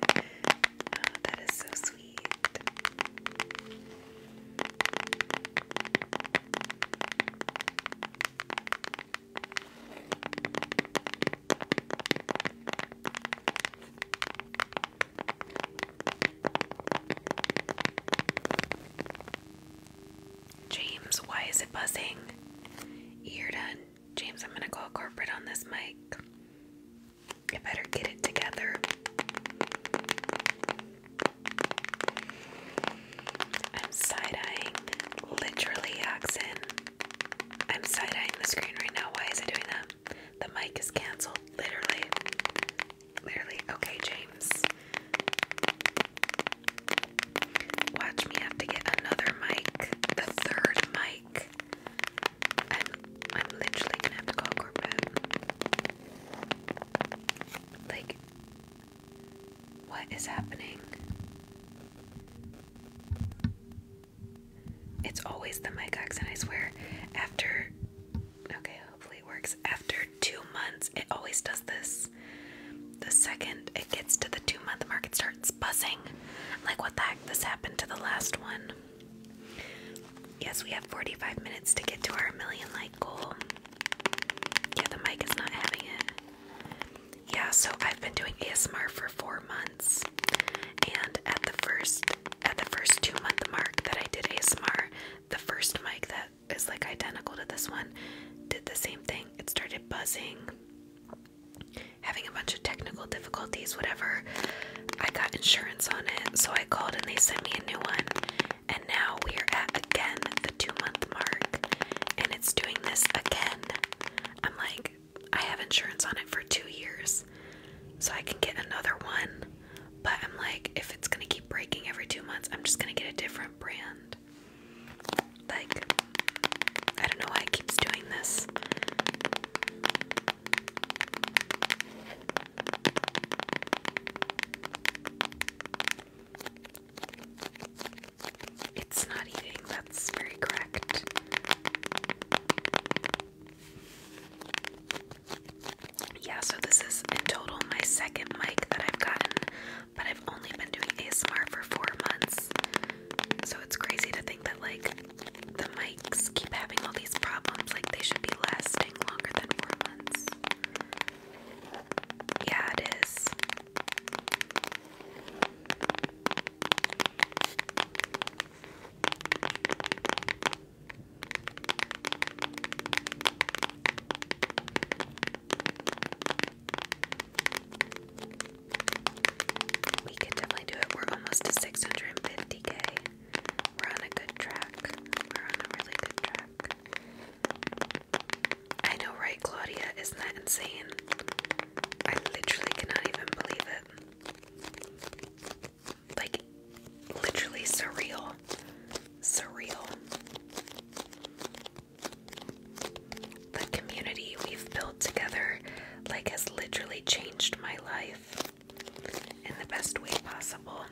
Oh, that is so sweet. James, why is it buzzing? You're done. James, I'm going to call corporate on this mic. You better get it together. I'm side eyeing literally Oxen. I'm side eyeing the screen right now. Why is it doing that? The mic is cancelled. Literally. Literally. Okay, James. Watch me have to get another mic. The third mic. I'm, I'm literally gonna have to call corporate. Like, what is happening? It's always the mic accent, I swear. After, okay, hopefully it works. After two months, it always does this. The second it gets to the two month mark, it starts buzzing. like, what the heck? This happened to the last one. Yes, we have 45 minutes to get to our million like goal. Yeah, the mic is not having it. Yeah, so I've been doing ASMR for four months, and at the first at the first two month mark that I did ASMR, the first mic that is like identical to this one did the same thing. It started buzzing, having a bunch of technical difficulties, whatever. I got insurance on it, so I called and they sent me a new one. And now we are at again the two month mark, and it's doing this again. I'm like, I have insurance on it for two years, so I can get another one. But I'm like, if it's gonna keep breaking every two months, I'm just gonna get a different brand. Like, I don't know why it keeps doing this. It's not eating, that's very correct. Yeah, so this is in total my second mic that I've gotten, but I've only been doing ASMR for four months. So it's crazy to think that, like, the mic keep having all these problems. Like, they should be lasting longer than four months. Yeah, it is. We could definitely do it. We're almost to 650k. We're on a good track. We're on a really good track. I know, right, Claudia? Isn't that insane? I literally cannot even believe it. Like, literally surreal. Surreal. The community we've built together, like, has literally changed my life in the best way possible.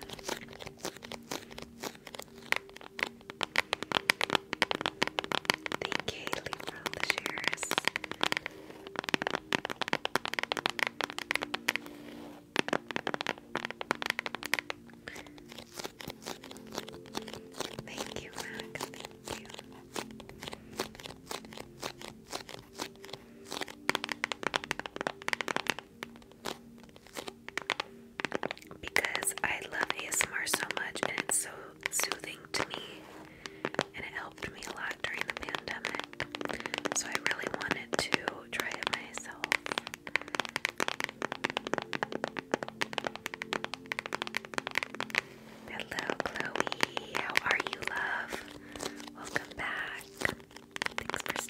Thank you, Haley, for Thank you, Max. Thank you because I love ASMR so much and it's so soothing to me and it helped me a lot during the pandemic. So I really wanted to try it myself. Hello Chloe, how are you love? Welcome back. Thanks you.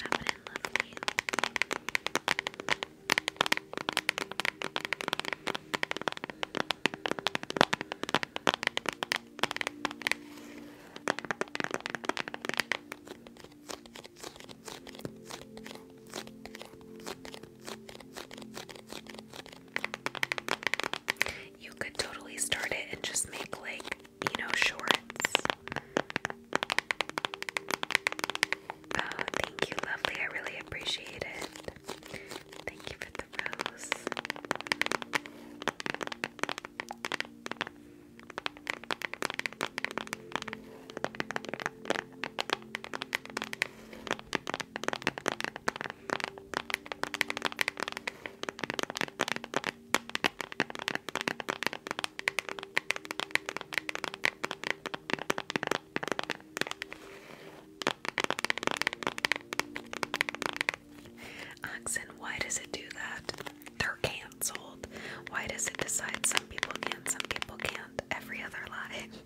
You could totally start it and just make like you know, shorts. Oh, thank you, lovely. I really appreciate it. Thank you for the rose. Oxen, why does it do that? They're canceled. Why does it decide some people can, not some people can't? Every other lie. [LAUGHS]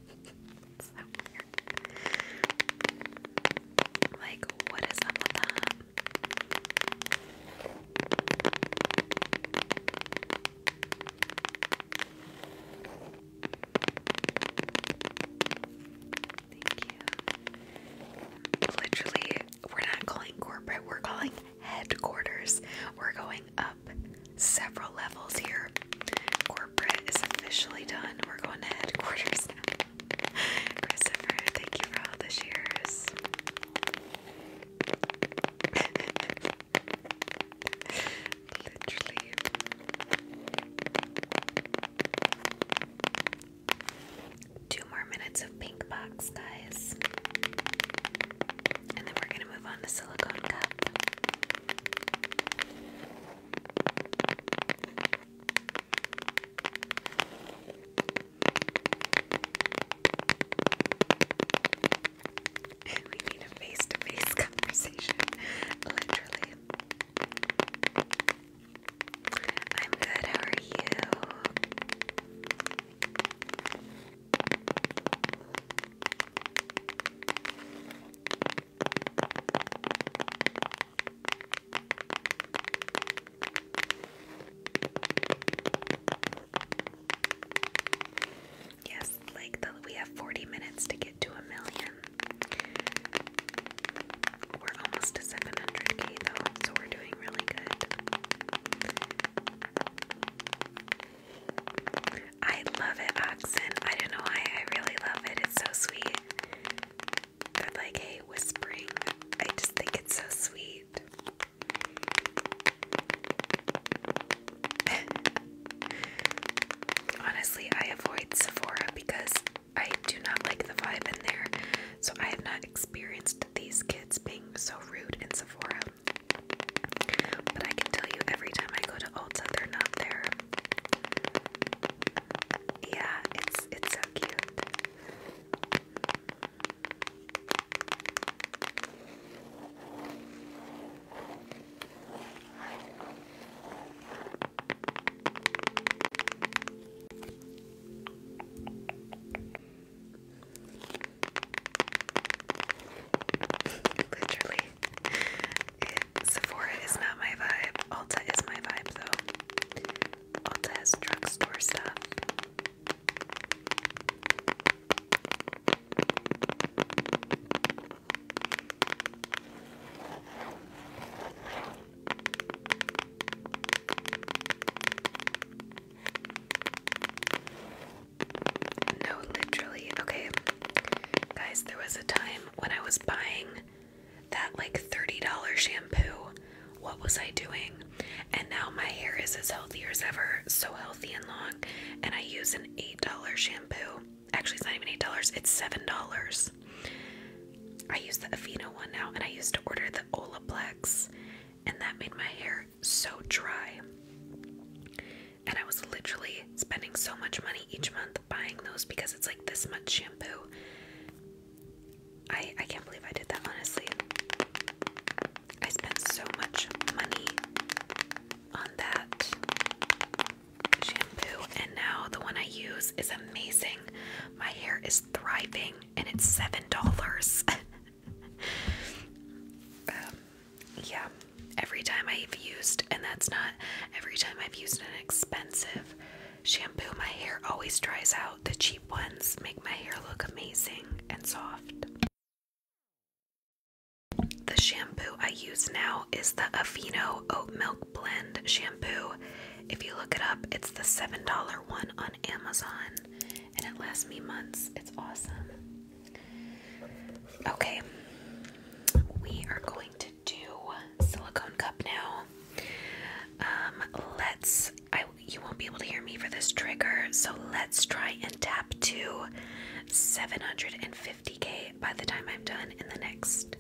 Like, what is up with that? Literally, we're not calling corporate, we're calling headquarters. We're going up several levels here. Corporate is officially done. We're going to headquarters now. [LAUGHS] Christopher, thank you for all the shares. Two more minutes of pink box, guys. And then we're going to move on to silicone cup we need a face to face conversation, literally. I'm good, how are you? Yes, like we have 40 minutes to get to a million. We're almost to 700k though, so we're doing really good. I love it, Oxen. I don't know why, I really love it. It's so sweet. like, hey, whispering. I just think it's so sweet. [LAUGHS] Honestly, I avoid Sephora because I do not like the vibe in there, so I have not experienced these kids being so rude in Sephora. But I can tell you every time I go to Ulta, they're not there. Yeah, it's it's so cute. Literally, it, Sephora is not my vibe. Ulta is my vibe, though. Ulta has drugstore stuff. No, literally. Okay. Guys, there was a time when I was buying that like $30 shampoo. What was I doing? And now my hair is as healthy as ever, so healthy and long. And I use an $8 shampoo. Actually, it's not even $8, it's $7. I use the Aveeno one now, and I used to order the Olaplex, and that made my hair so dry. And I was literally spending so much money each month buying those because it's like this much shampoo. I I can't believe I did that honestly. I spent so much money on that shampoo, and now the one I use is amazing. My hair is thriving, and it's seven dollars. [LAUGHS] Um, yeah, every time I've used, and that's not every time I've used an expensive shampoo, my hair always dries out. The cheap ones make my hair look amazing and soft. The shampoo I use now is the Aveeno Oat Milk Blend shampoo. If you look it up, it's the $7 one on Amazon and it lasts me months. It's awesome. Okay, we are going to do silicone cup now. Um, let's, I, you won't be able to hear me for this trigger, so let's try and tap up to 750k by the time I'm done in the next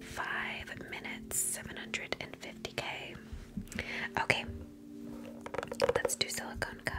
five minutes. 750k. Okay, let's do silicone cup.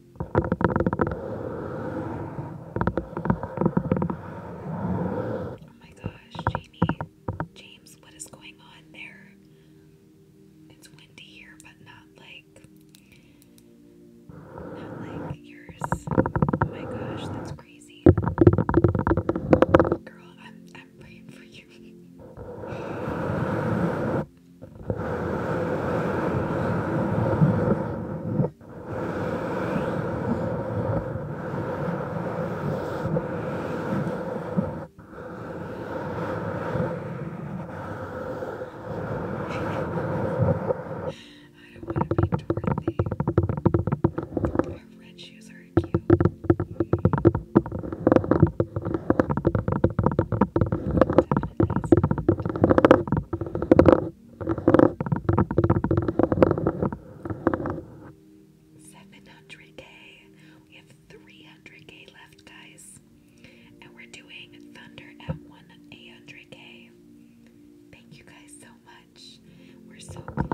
Oh my gosh, Jamie. James, what is going on there? It's windy here, but not like not like yours. Oh my gosh, that's crazy. Girl, I'm I'm praying for you. [LAUGHS] I don't want to be Dorothy. Her red shoes are cute. Mm. Definitely 700k. We have 300k left, guys. And we're doing Thunder at 1-800k. Thank you guys so much. We're so close.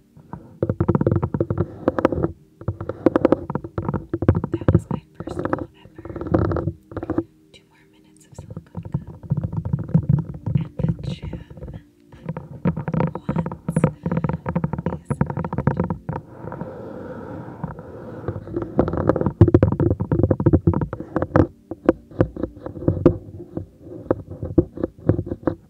That was my first goal ever. Two more minutes of silicone gum at the gym. Once is worth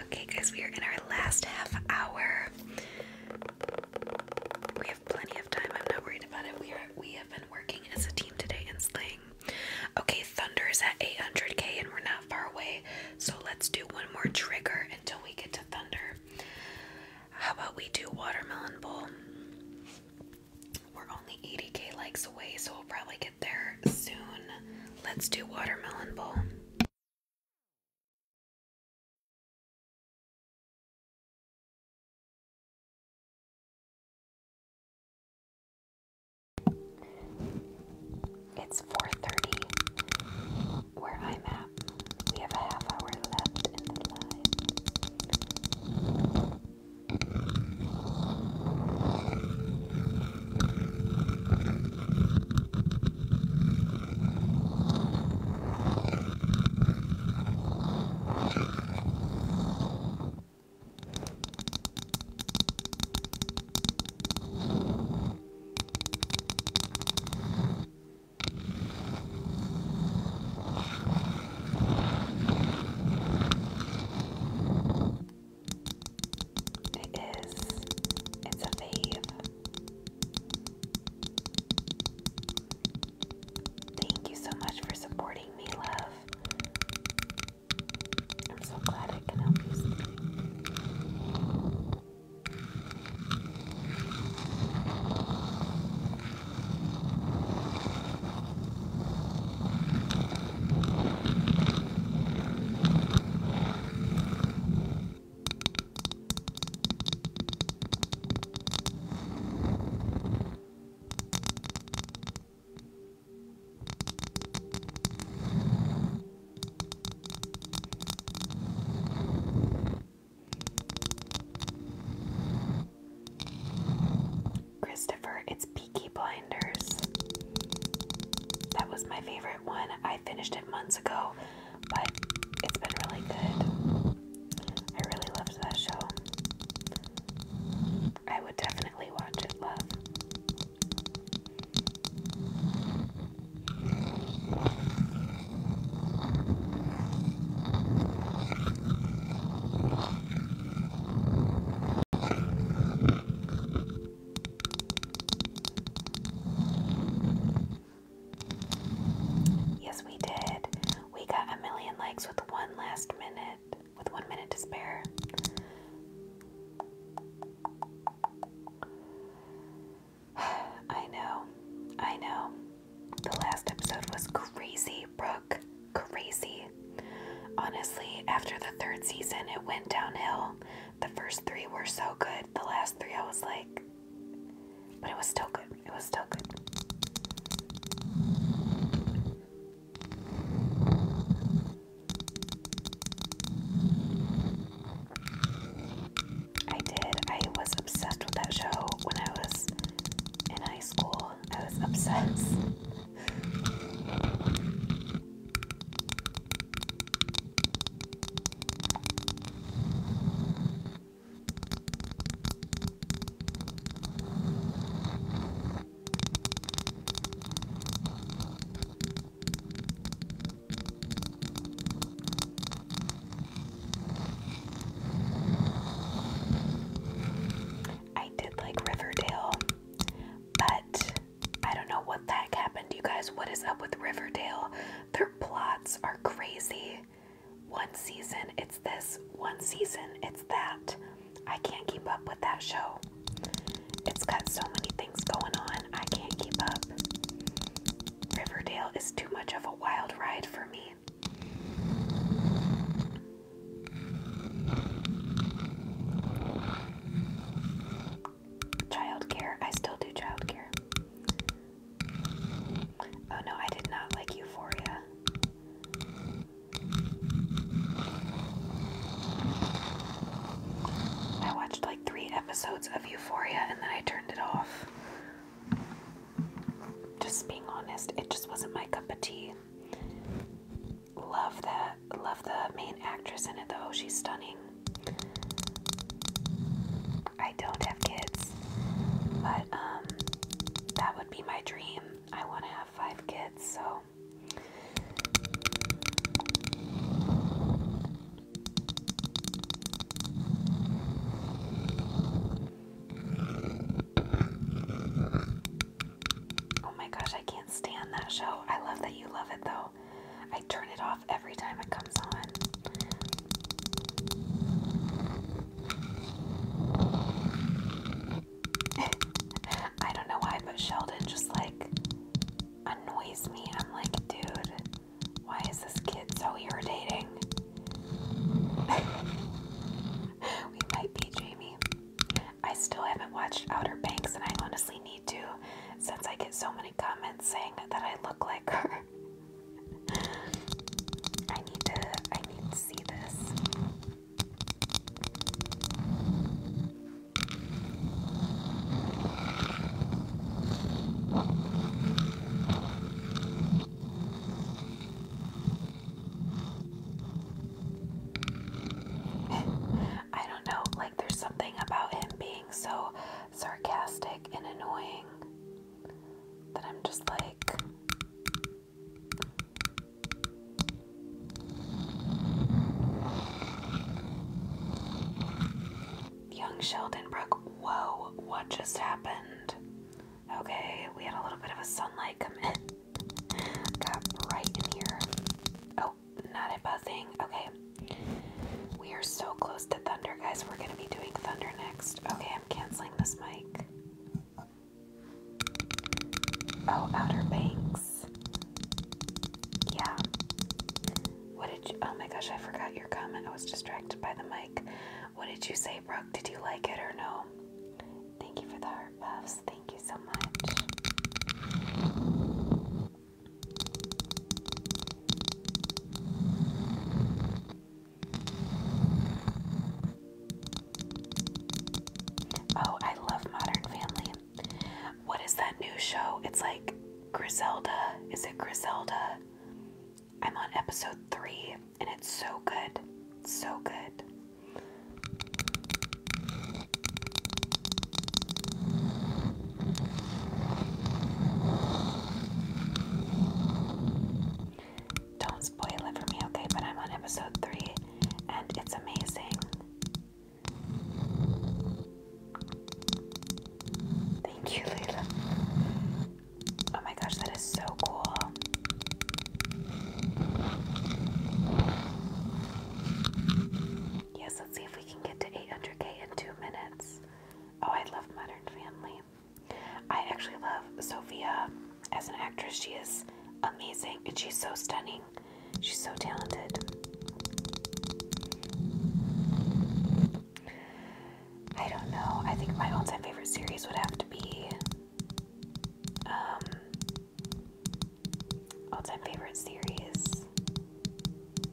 Okay, guys, we are in our last half hour. We have plenty of time. I'm not worried about it. We are we have been working as a team today and slaying. Okay, Thunder is at 800k and we're not far away. So let's do one more trigger until we get to Thunder. How about we do Watermelon Bowl? We're only 80k likes away, so we'll probably get there soon. Let's do Watermelon Bowl. It's 4:30 where I'm at. We have a half hour left in the live. It is. It's a fave. Thank you so much for supporting me, love. I'm so glad I can help you Christopher, it's Peaky Blinders. That was my favorite one. I finished it months ago, but it's been really good. I really loved that show. I would definitely watch it, love. Yes, we did. We got a million likes with one last minute, with one minute to spare. [SIGHS] I know. I know. The last episode was crazy, Brooke. Crazy. Honestly, after the third season, it went downhill. The first three were so good. The last three, I was like, but it was still good. It was still good. I did. I was obsessed with that show when I was in high school. I was obsessed. I did like Riverdale, but I don't know what the happened. You guys, what is up with Riverdale? Their plots are crazy. One season it's this, one season it's that. I can't keep up with that show. It's got so many things going on, I can't keep up. Riverdale is too much of a wild ride for me. Childcare. I still do childcare. Oh no, I did not like Euphoria. I watched three episodes of Euphoria and then I turned it off. Just being honest, it just wasn't my cup of tea. Love that. Love the main actress in it though. She's stunning. I don't have kids, but um, that would be my dream. I want to have five kids, so Oh my gosh, I can't stand that show. I love that you love it though. I turn it off every time it comes on. [LAUGHS] I don't know why, but Sheldon just like annoys me. I'm like, dude, why is this kid so irritating? [LAUGHS] we might be, Jamie. I still haven't watched Outer Banks, and I honestly need to since I get so many comments saying that I look like her. [LAUGHS] I need to I need to see this. I don't know, like there's something about him being so sarcastic and annoying that I'm just like Young Sheldon Brook, whoa, what just happened? Okay, we had a little bit of a sunlight come in. Got right in here. Oh, not a buzzing. Okay. We are so close to thunder, guys. We're going to be doing thunder next. Okay, I'm canceling this mic. Oh, Outer Banks. Yeah. What did you, oh my gosh, I forgot your comment. I was distracted by the mic. What did you say, Brooke? Did you like it or no? Thank you for the heart Thank you so much. Oh, I love Modern Family. What is that new show? It's like Griselda. Is it Griselda? I'm on episode three, and it's so good. So good. Don't spoil it for me, okay? But I'm on episode three, and it's amazing. Thank you, Leila. Oh my gosh, that is so cool. Yes, let's see if we can get to 800k in two minutes. Oh, I love Modern Family. I actually love Sophia as an actress. She is amazing and she's so stunning. She's so talented. I don't know. I think my all-time favorite series would have to be um, all-time favorite series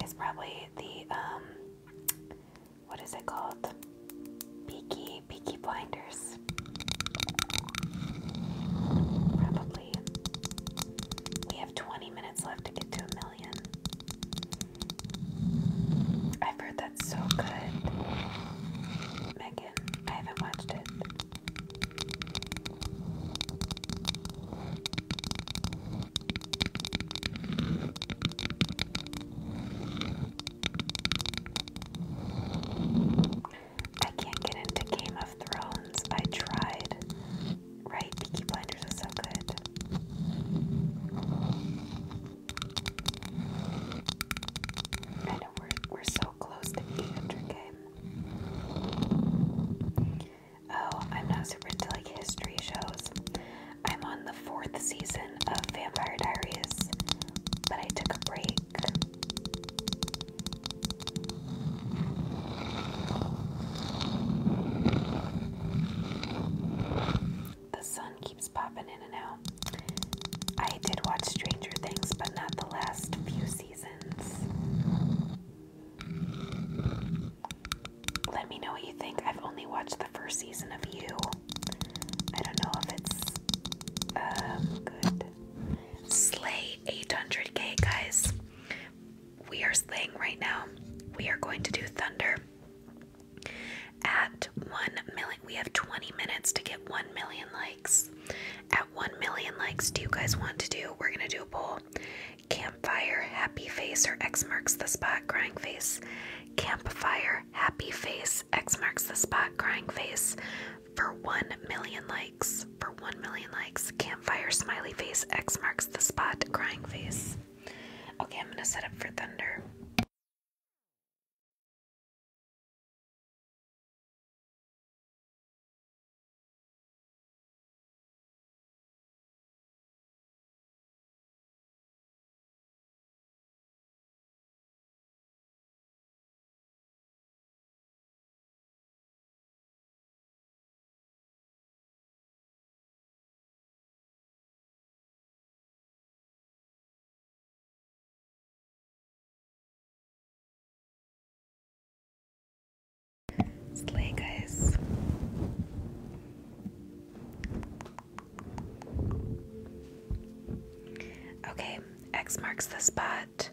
is probably the um, what is it called? Peaky Peaky Blinders. Probably. We have 20 minutes left to get to a million. I've heard that's so good. Megan, I haven't watched it. I can't get into Game of Thrones. I tried. Right, Peaky Blinders was so good. I know we're, we're so close to 800k. Oh, I'm not super into like history shows. I'm on the fourth season of Vampire Diaries, but I took a break. The sun keeps popping in and out. I did watch Stranger Things, but not the last few seasons. Let me know what you think. I've only watched the first season of You. I don't know if it's um, good. Slay 800k, guys. We are slaying right now. We are going to do Thunder. At 1 million, we have 20 minutes to get 1 million likes. At 1 million likes, do you guys want to do? We're going to do a poll. Campfire, happy face, or X marks the spot, crying face. Campfire, happy face, X marks the spot, crying face. For 1 million likes. For 1 million likes. Campfire, smiley face, X marks the spot, crying face. Okay, I'm gonna set up for thunder. Slay, guys. Okay, X marks the spot.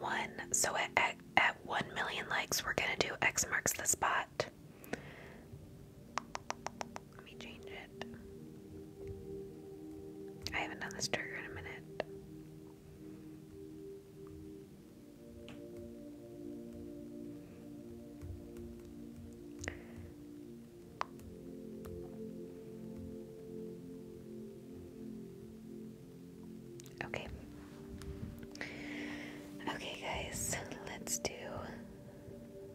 One. So at, at, at 1 million likes, we're going to do X marks the spot. Let me change it. I haven't done this trigger in a minute. Okay. Okay, guys, let's do Oh,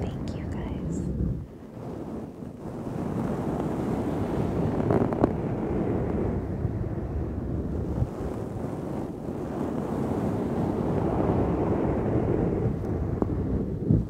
thank you guys.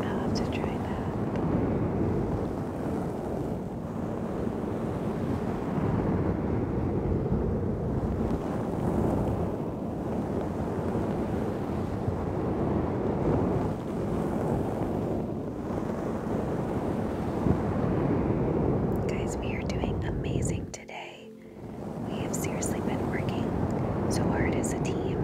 I'll have to try that. Guys, we are doing amazing today. We have seriously been working so hard as a team.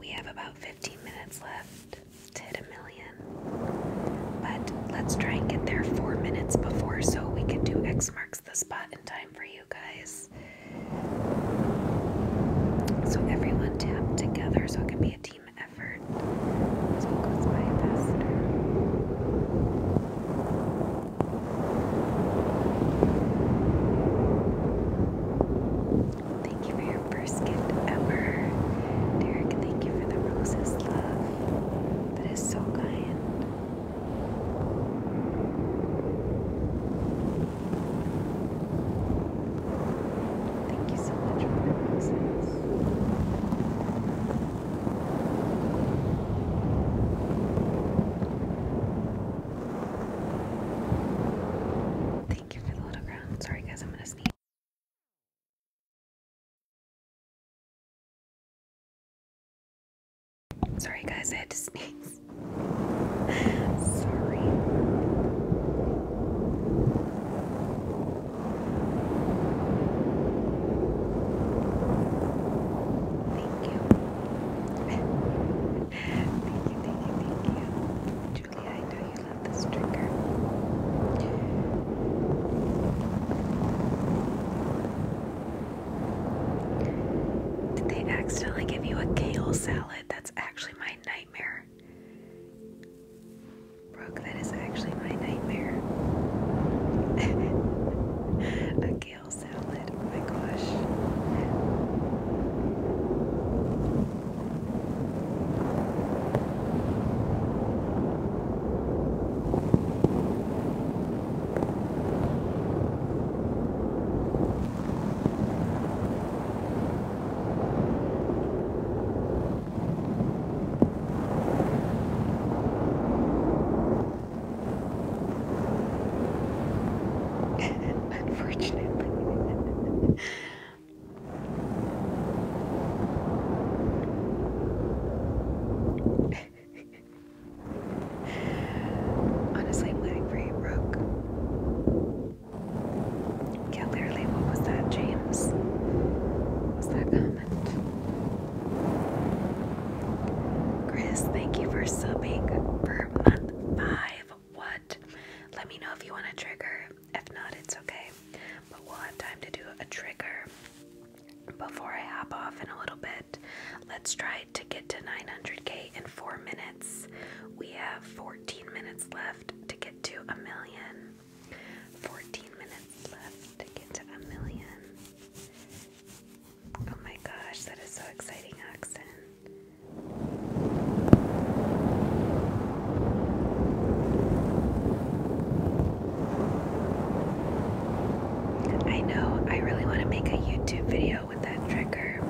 We have about 15 minutes left to hit a million but let's try and get there four minutes before so we can do X marks the spot in time for you guys. So everyone tap together so it can be a team effort. Thank you for your first gift ever. Derek, thank you for the roses, love. That is so kind. Thank you so much for the roses. little ground. Sorry guys, I'm gonna sneeze. Sorry, guys, I had to sneeze. Sorry. Thank you. thank you, thank you, thank I know you love this trigger. Did they accidentally give you a kale salad? That's actually my nightmare. Brooke, that is actually my nightmare. [LAUGHS] a kale salad, oh my gosh. Unfortunately. [LAUGHS] Honestly, I'm living for you, Brooke. Yeah, literally, what was that, James? What that comment? Chris, thank you for subbing for month five. What? Let me know if you want a trigger. If not, it's okay. But we'll have time to do a trigger before I hop off in a little bit. Let's try to get to 900k in four minutes. We have 14 minutes left to get to a million. 14 minutes left to get to a million. Oh my gosh, that is so exciting, Oxen. I know, I really want to make a YouTube video with that trigger. [LAUGHS]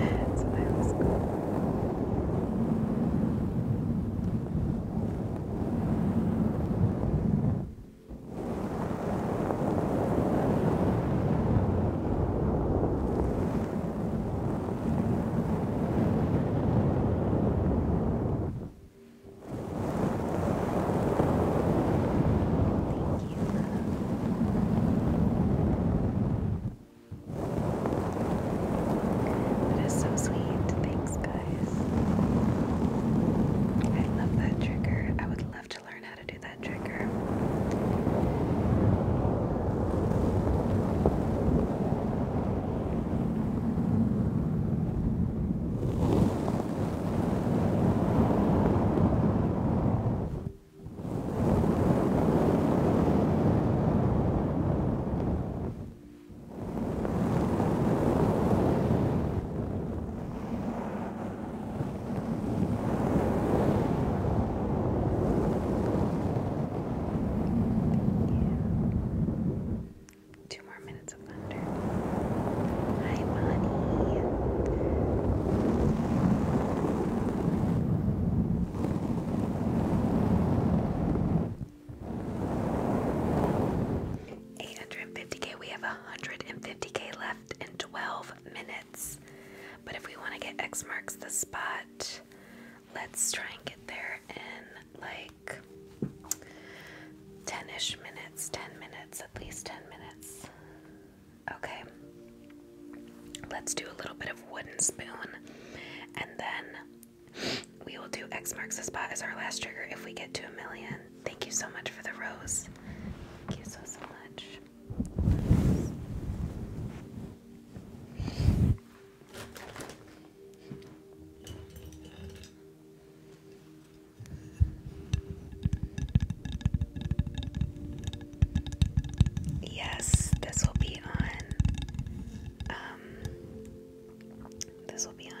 That's I was going. That is so sweet. Thanks, I love that trigger. I would love to learn how to do that trigger. Two more minutes of thunder. Hi, Bonnie. 850k, we have 150k left in 12 minutes. But if we want to get X marks the spot, let's try and get there in like 10 ish minutes, 10 minutes, at least 10 minutes. Okay, let's do a little bit of wooden spoon and then we will do X marks the spot as our last trigger if we get to a million. Thank you so much for the rose. Thank you so so much. Yes, this will be on um this will be on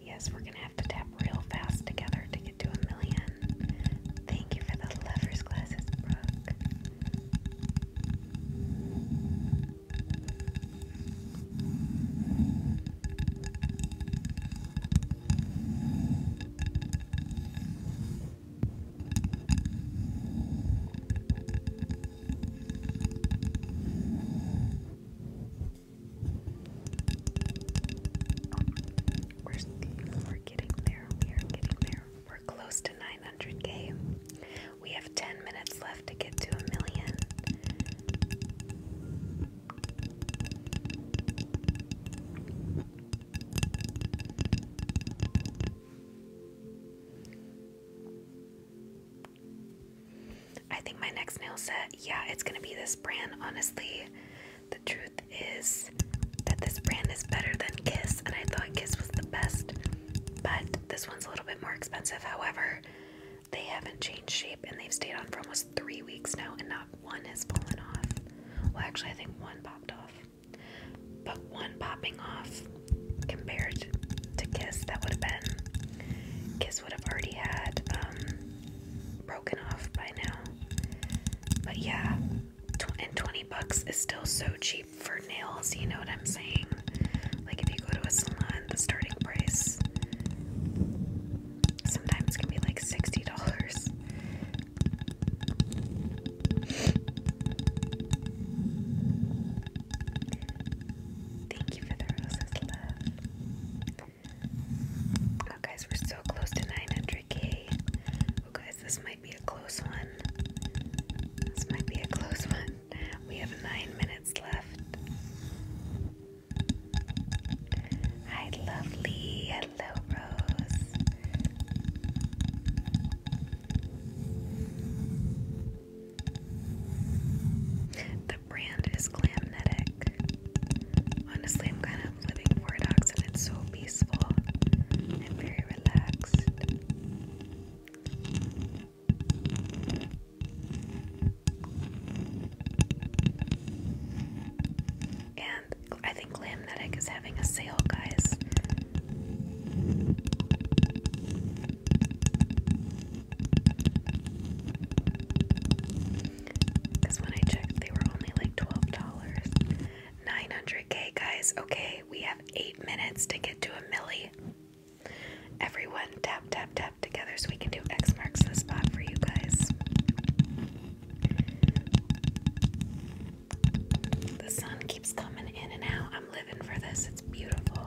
Yes, we're gonna have to tap real fast together to get to a million. Thank you for the lovers glasses, Brooke. We're, getting there. We are getting there. We're close to 900k. We have 10 minutes left to get to a million. I think my next nail set, yeah, it's gonna be this brand. Honestly, the truth is that this brand is better than Kiss, and I thought Kiss was the best, but this one's a little bit more expensive. However, they haven't changed shape and they've stayed on for almost three weeks now, and not one has fallen off. Well, actually, I think one popped off, but one popping off compared to Kiss, that would have been Kiss would have already had um, broken off by now. But yeah, and 20 bucks is still so cheap for nails, you know what I'm saying? Like if you go to a salon, the starting price sometimes can be like $60. Thank you for the roses, love. Oh, guys, we're so close to 900k. guys, this might be a close one. This might be a close one. We have nine minutes left. Hi, lovely. Hello, Rose brand is Glamnetic. Honestly, I'm kind of living for it, and it's so peaceful and very relaxed. And I think Glamnetic is having a sale, guys. Because when I checked, they were only like $12. 900k, guys. Okay, we have eight minutes to get to a milli. Everyone tap, tap, tap together so we can do X marks the spot for you guys. The sun keeps coming in and out. I'm living for this. It's beautiful.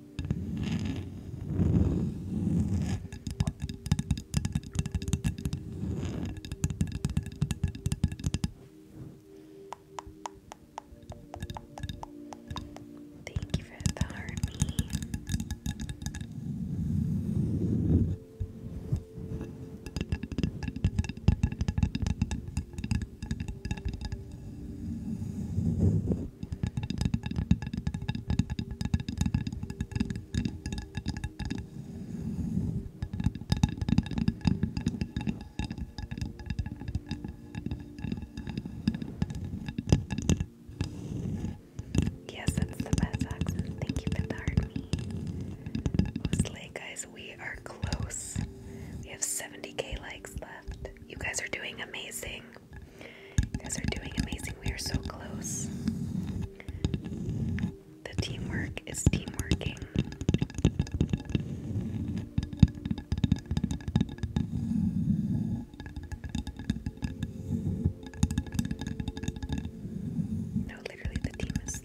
Thank you for the army. Yes, that's the best accent. Thank you for the army. Slay guys, we are close. We have 70k likes left. You guys are doing amazing guys are doing amazing. We are so close. The teamwork is teamworking. No, literally, the team is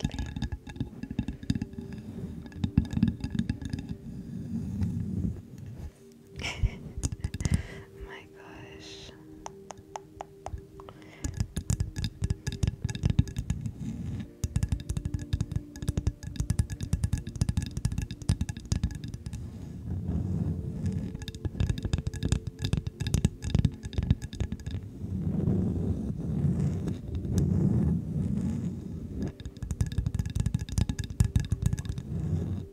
[LAUGHS] My gosh. I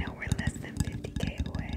know we're less than 50k away.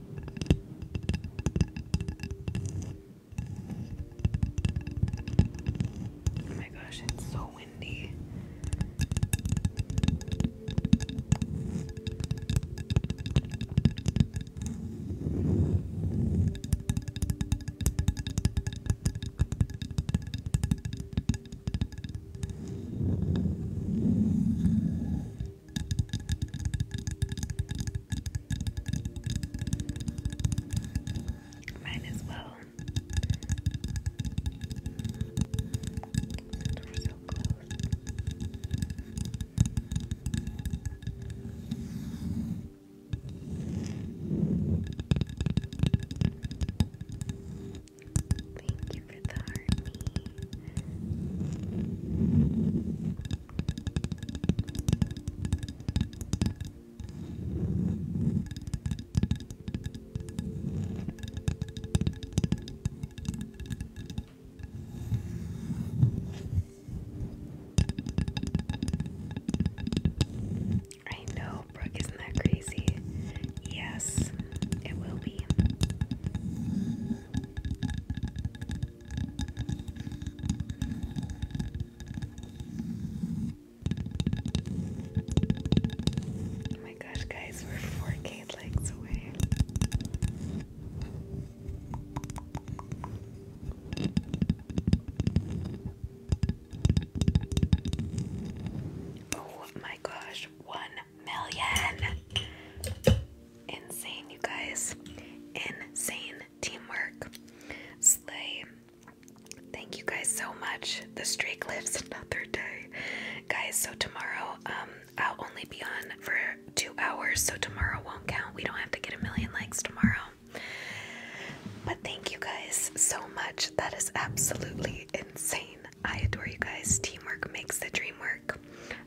Oh my gosh, it's so windy. Mine as well. we so close. Thank you for the heart. I know, Brooke, isn't that crazy? Yes, it will be. Oh my gosh, guys, we're 4K likes away. Oh my gosh, 1 million! Insane, you guys. Insane teamwork. Slay. Thank you guys so much. The streak lives [LAUGHS] another day. Guys, so tomorrow, um, I'll only be on for two hours, so tomorrow won't count. We don't have to get a million likes tomorrow. But thank you guys so much. That is absolutely insane. I adore you guys. Teamwork makes the dream work.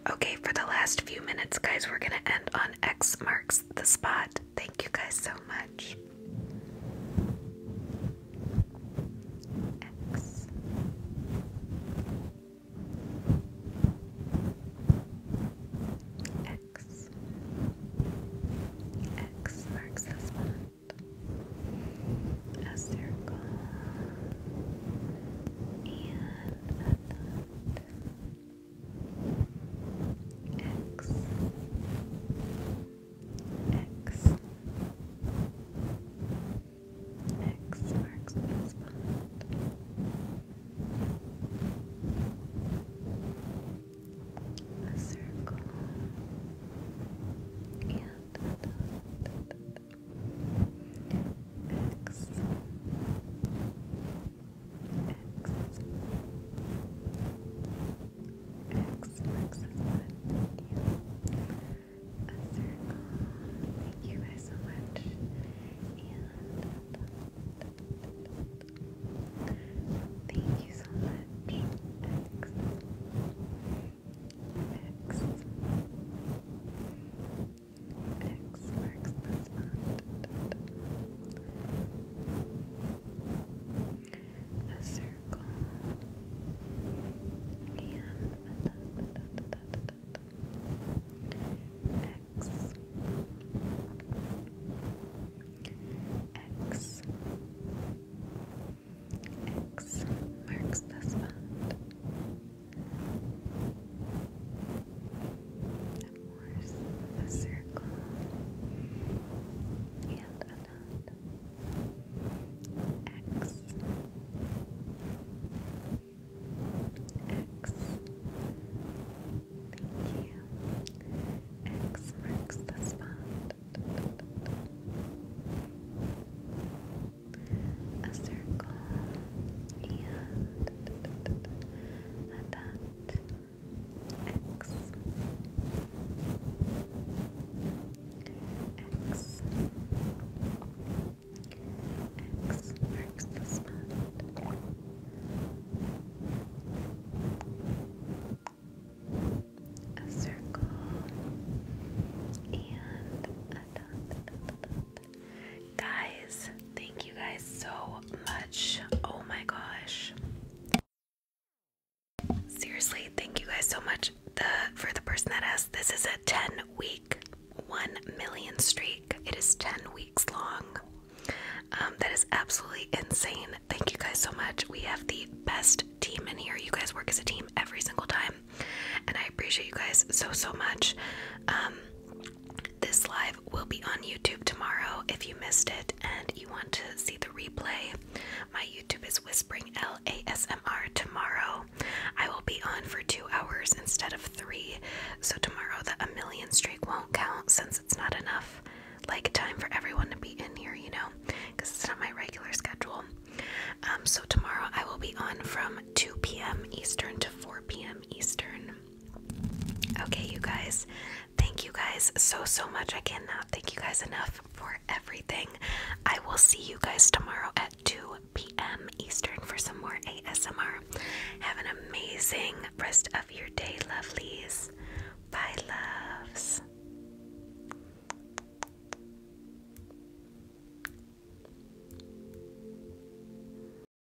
Okay, for the last few minutes, guys, we're gonna end on X marks the spot. Thank you guys so much. X. X. X marks the spot. A circle and a dot. X X X marks the spot. A circle and a dot. X X marks the spot. Yeah. Thank you guys so much. And thank you so much. X marks the spot. A circle. And X. X. X marks the spot. That forms a circle and a dot. X. X. Thank you. marks the spot. A circle and and that X X X marks the spot. A circle and a dot, Guys, thank you guys so much. Oh my gosh. Seriously, thank you guys so much. The for the person that asked, this is a 10 week 1 million streak. It is 10 weeks long. Um, that is absolutely insane. Thank you guys so much. We have the best team in here. You guys work as a team every single time. And I appreciate you guys so so much. Um, this live live will be on YouTube tomorrow if you missed it and you want to see the replay. My YouTube is Whispering L A S M R tomorrow. I will be on for two hours instead of three, so tomorrow the a million streak won't count since it's not enough like time for everyone to be in here, you know, because it's not my regular schedule. Um, so tomorrow I will be on from 2 p.m. Eastern to 4 p.m. Eastern. Okay, you guys, thank you guys so, so much. I cannot thank you guys enough for everything. I will see you guys tomorrow at 2 p.m. Eastern for some more ASMR. Have an amazing rest of your day, lovelies. Bye, loves.